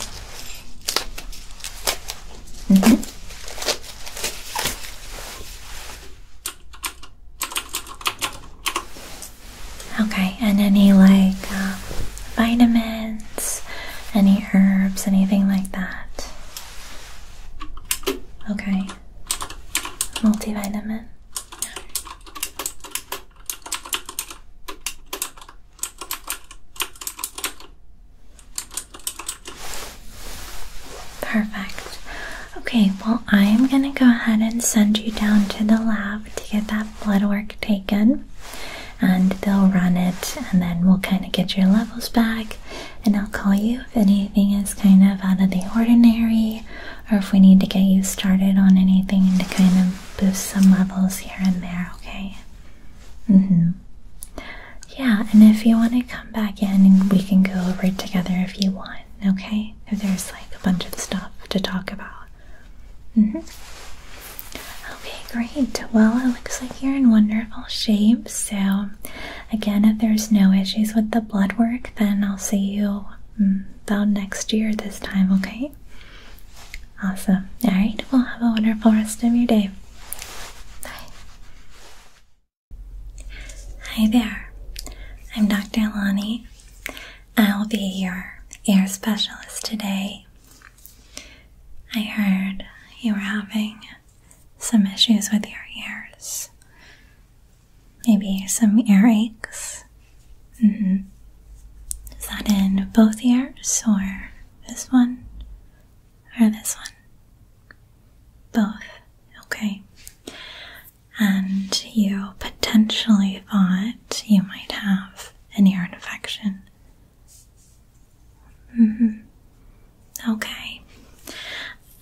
-hmm. Okay, and any like uh, vitamins, any herbs, anything like that? Okay, multivitamin. Perfect. Okay, well, I am going to go ahead and send you down to the lab to get that blood work taken. And they'll run it, and then we'll kind of get your levels back. And I'll call you if anything is kind of out of the ordinary, or if we need to get you started on anything to kind of boost some levels here and there, okay? Mm hmm. Yeah, and if you want to come back in, we can go over it together if you want okay? If there's like a bunch of stuff to talk about. Mm -hmm. Okay, great. Well, it looks like you're in wonderful shape. So, again, if there's no issues with the blood work, then I'll see you mm, about next year this time, okay? Awesome. All right, well, have a wonderful rest of your day. Bye. Hi there, I'm Dr. Lonnie. I'll be your ear specialist today. I heard you were having some issues with your ears. Maybe some earaches. Mm -hmm. Is that in both ears or this one or this one? Both. Okay and you potentially thought you might have an ear infection. -hmm. Okay.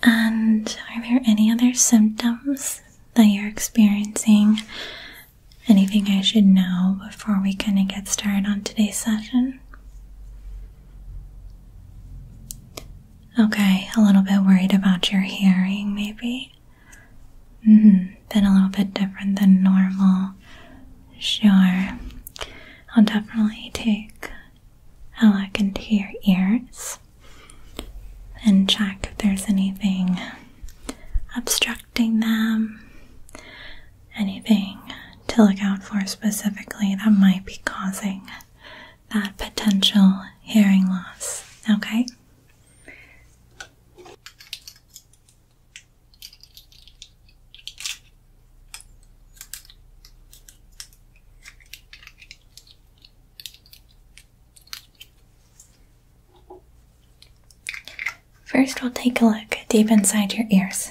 And are there any other symptoms that you're experiencing? Anything I should know before we kind of get started on today's session? Okay, a little bit worried about your hearing, maybe? Mm hmm, been a little bit different than normal. Sure. I'll definitely take a look into your ears and check if there's anything obstructing them, anything to look out for specifically that might be causing that potential hearing loss. Okay? First, we'll take a look deep inside your ears.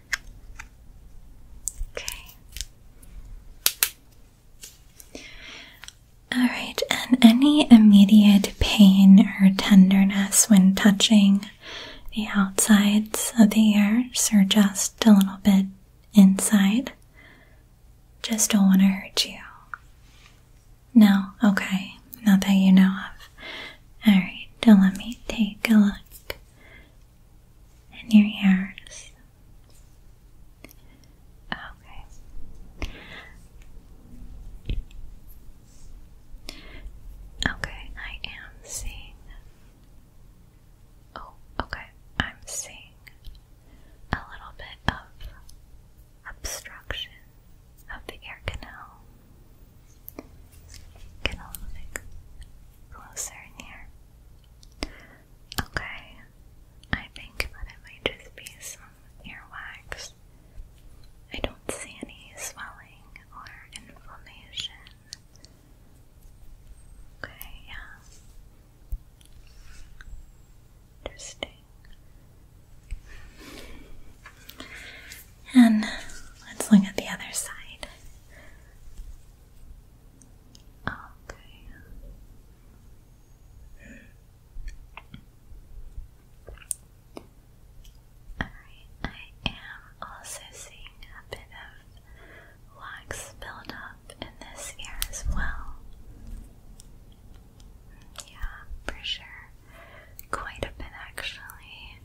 Okay. All right, and any immediate pain or tenderness when touching the outsides of the ears or just a little bit inside? Just don't want to hurt you. No, okay, not that you know of. Alright, let me take a look in your ears. Okay. Okay, I am seeing. Oh, okay, I'm seeing a little bit of obstruction of the ear canal. Get a little bit closer in here. Okay, I think that it might just be some earwax. I don't see any swelling or inflammation. Okay, yeah. Interesting. And let's look at the other side. Okay. Alright, I am also seeing a bit of wax build in this ear as well. Yeah, for sure. Quite a bit actually.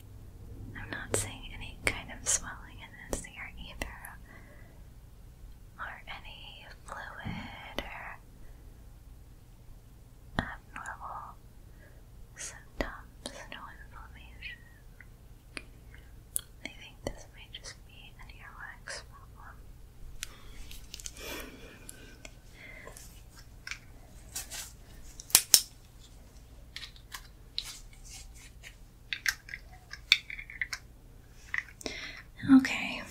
I'm not seeing any kind of swelling in this ear either or any fluid or abnormal symptoms, no inflammation. I think this may just be an earwax problem. Okay.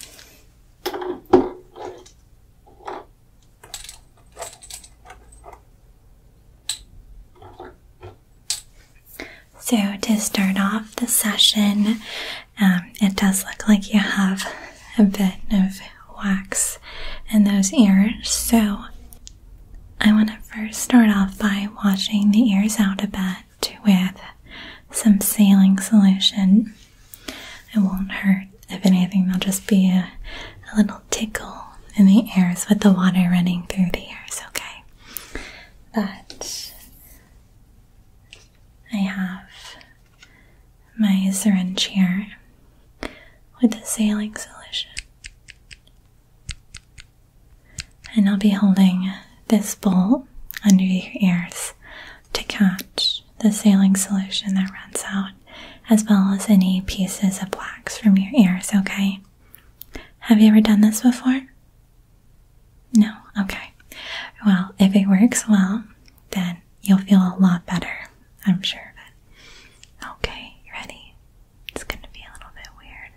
So, to start off the session, um, it does look like you have a bit of wax in those ears. So, I want to first start off by washing the ears out a bit it with some saline solution. It won't hurt. If anything, there'll just be a, a little tickle in the ears with the water running through the ears, okay? But I have my syringe here with the saline solution. And I'll be holding this bowl under your ears to catch the saline solution that runs out, as well as any pieces of wax from your ears, okay? Have you ever done this before? No? Okay. Well, if it works well, then you'll feel a lot better. I'm sure of it. Okay, you ready? It's gonna be a little bit weird.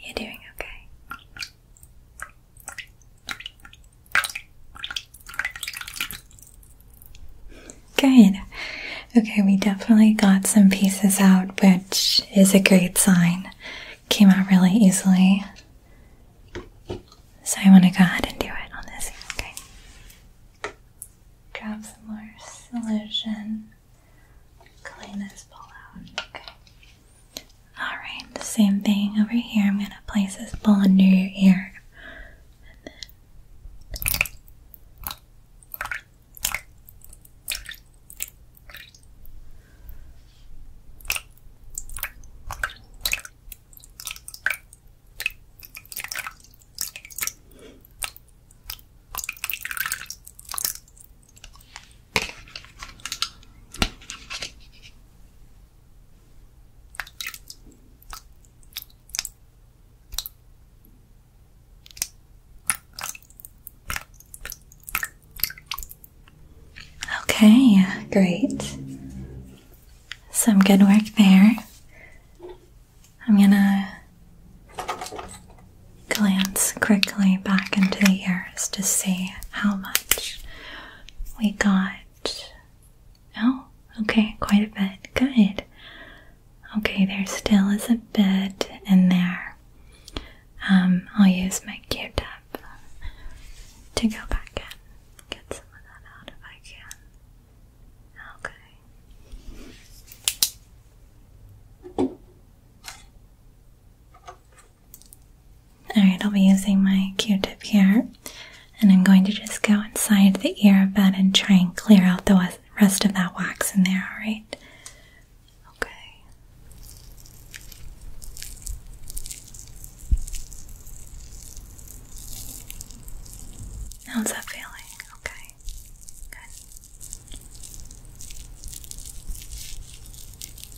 You're doing okay. Good. Okay, we definitely got some pieces out, which is a great sign. Came out really easily. So I want to go ahead and do it on this, okay? Grab some more solution. Clean this bowl out, okay? Alright, the same thing over here. I'm going to place this bowl under your ear. Okay, great. Some good work there. I'm gonna glance quickly back into the air to see how much we got. No? Oh, okay, quite a bit. Good. Okay, there still is a bit in there. Um, I'll use my Q-tip to go back in. Get some of that out if I can. Okay. Alright, I'll be using my q-tip here and I'm going to just go inside the earbud and try and clear out the rest of that wax in there, alright? Okay. How's that feeling? Okay. Good.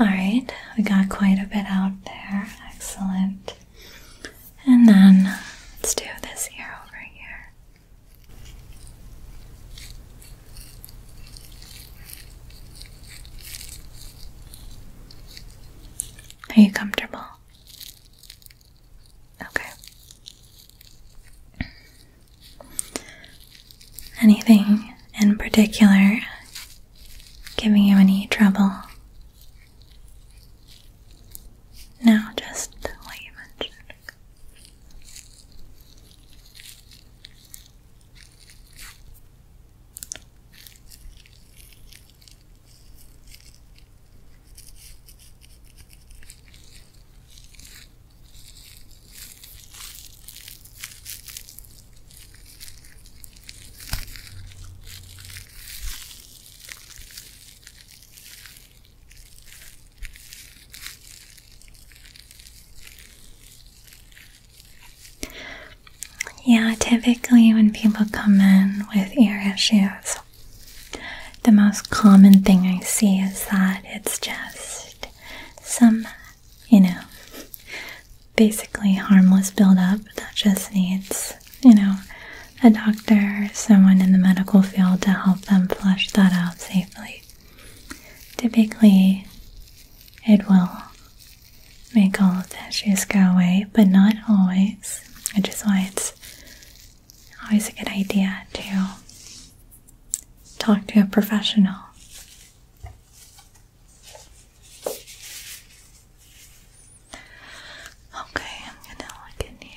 All right, we got quite a bit out there. Excellent. And then let's do this ear over here. Are you comfortable? Okay. Anything in particular giving you any trouble. Now, just what you mentioned. Yeah, typically when people come in with ear issues, the most common thing I see is that it's just some, you know, basically harmless buildup that just needs, you know, a doctor, someone in the medical field to help them flush that out safely. Typically, it will make all of the issues go away, but not always, which is why it's always a good idea to talk to a professional. Okay, I'm gonna look in here.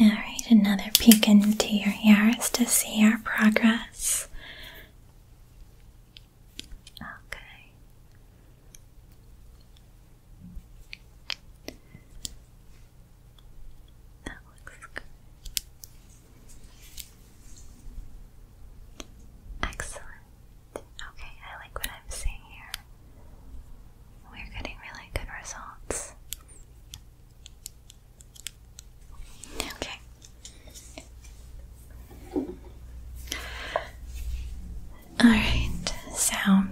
All right, another peek into your ears to see our progress. Okay. That looks good. Excellent. Okay, I like what I'm seeing here. We're getting really good results. Okay. Alright, so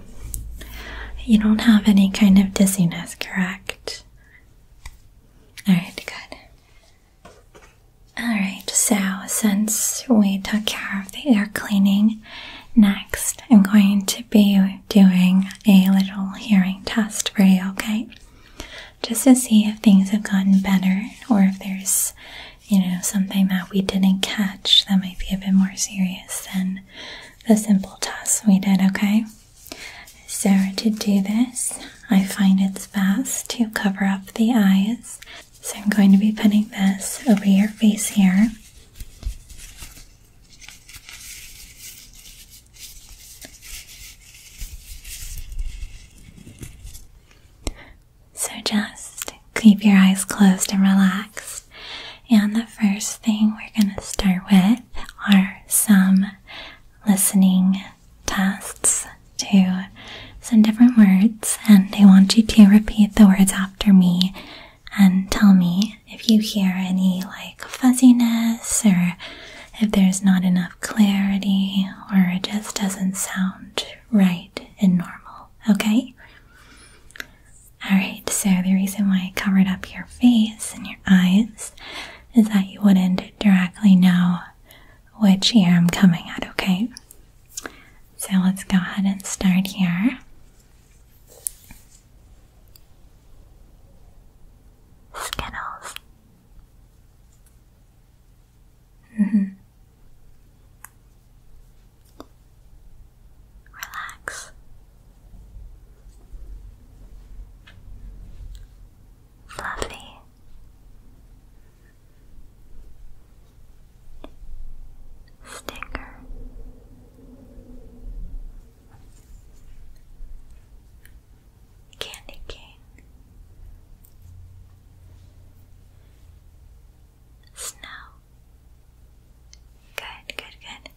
you don't have any kind of dizziness, correct? Alright, good. Alright, so since we took care of the air cleaning, next I'm going to be doing a little hearing test for you, okay? Just to see if things have gotten better or if there's you know, something that we didn't catch that might be a bit more serious than the simple tasks we did, okay? So, to do this, I find it's best to cover up the eyes. So, I'm going to be putting this over your face here. So just keep your eyes closed and relaxed. And the first thing we're going to start with are some listening tests to some different words. And I want you to repeat the words after me and tell me if you hear any like fuzziness or if there's not enough clarity or it just doesn't sound right and normal. Okay? Alright, so the reason why I covered up your face and your eyes is that you wouldn't directly know which ear I'm coming at, okay? So let's go ahead and start here. Skittles. Mm -hmm. Relax. Lovely. Sticker. Candy King snow. Good, good, good.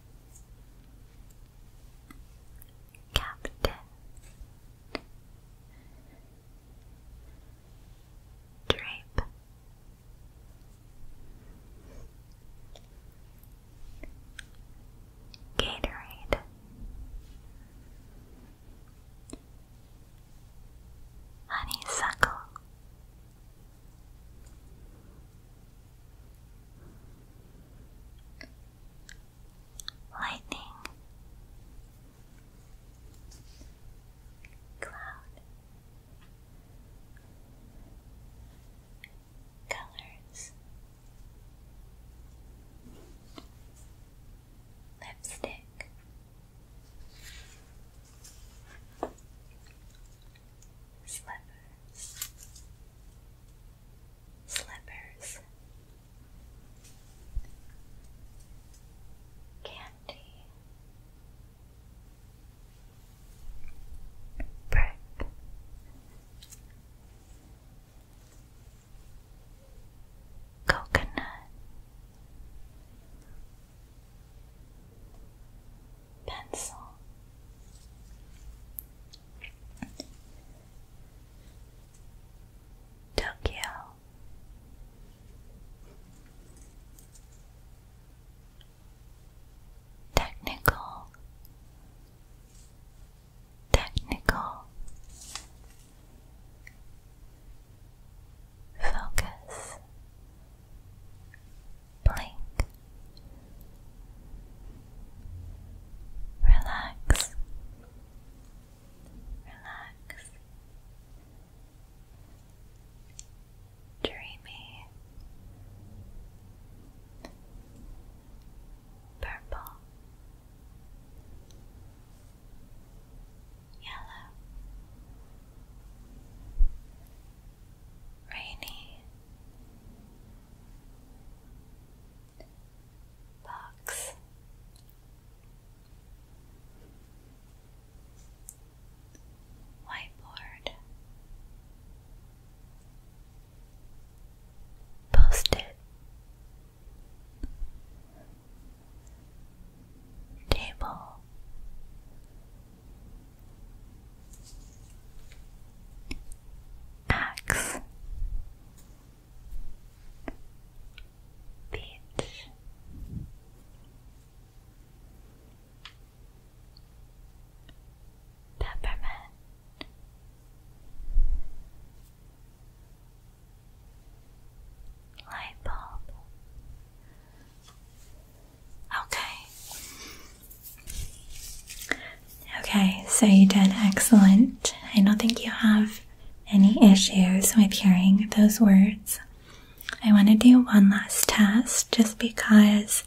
Captain Drape Gatorade Honeysuckle lightning, cloud, colors, lipstick slippers, slippers, candy, brick. Coconut pencil. Tokyo. Technical, technical, focus, blink. Relax, relax, dreamy, purple, yellow rainy box. Whiteboard Post Table Axe Beach Peppermint Light bulb Okay. Okay, so you did excellent. I don't think you have any issues with hearing those words. I want to do one last test just because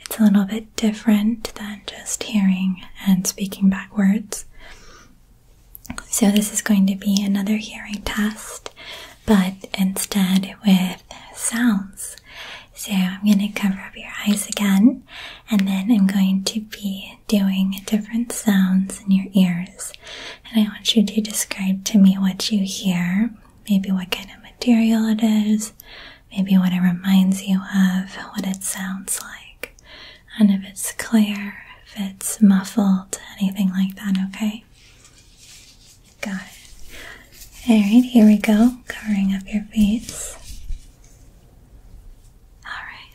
it's a little bit different than just hearing and speaking backwards. So, this is going to be another hearing test, but instead with sounds. So I'm going to cover up your eyes again, and then I'm going to be doing different sounds in your ears. And I want you to describe to me what you hear, maybe what kind of material it is, maybe what it reminds you of, what it sounds like, and if it's clear, if it's muffled, anything like that, okay? Got it. Alright, here we go. Covering up your feet. Alright.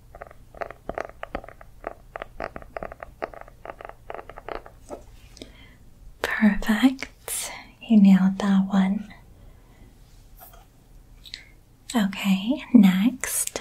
Perfect. You nailed that one. Okay, next.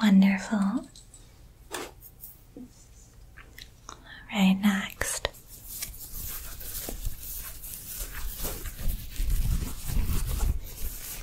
Wonderful. All right, next.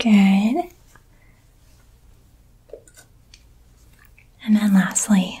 Good. And then lastly,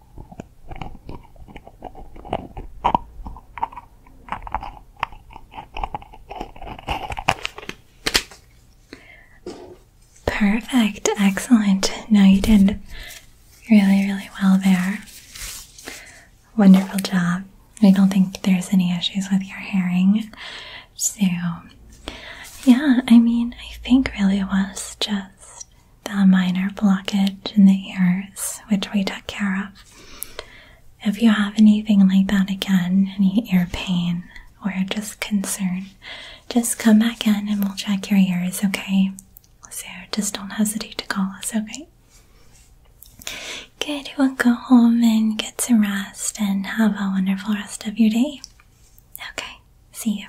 Perfect, excellent. No, you did really, really well there. Wonderful job. I don't think there's any issues with your herring. So, yeah, I mean, I think really it was just the minor blockage in the ears, which we took care of. If you have anything like that again, any ear pain or just concern, just come back in and we'll check your ears, okay? So just don't hesitate to call us, okay? Good, we'll go home and get some rest and have a wonderful rest of your day. Okay, see you.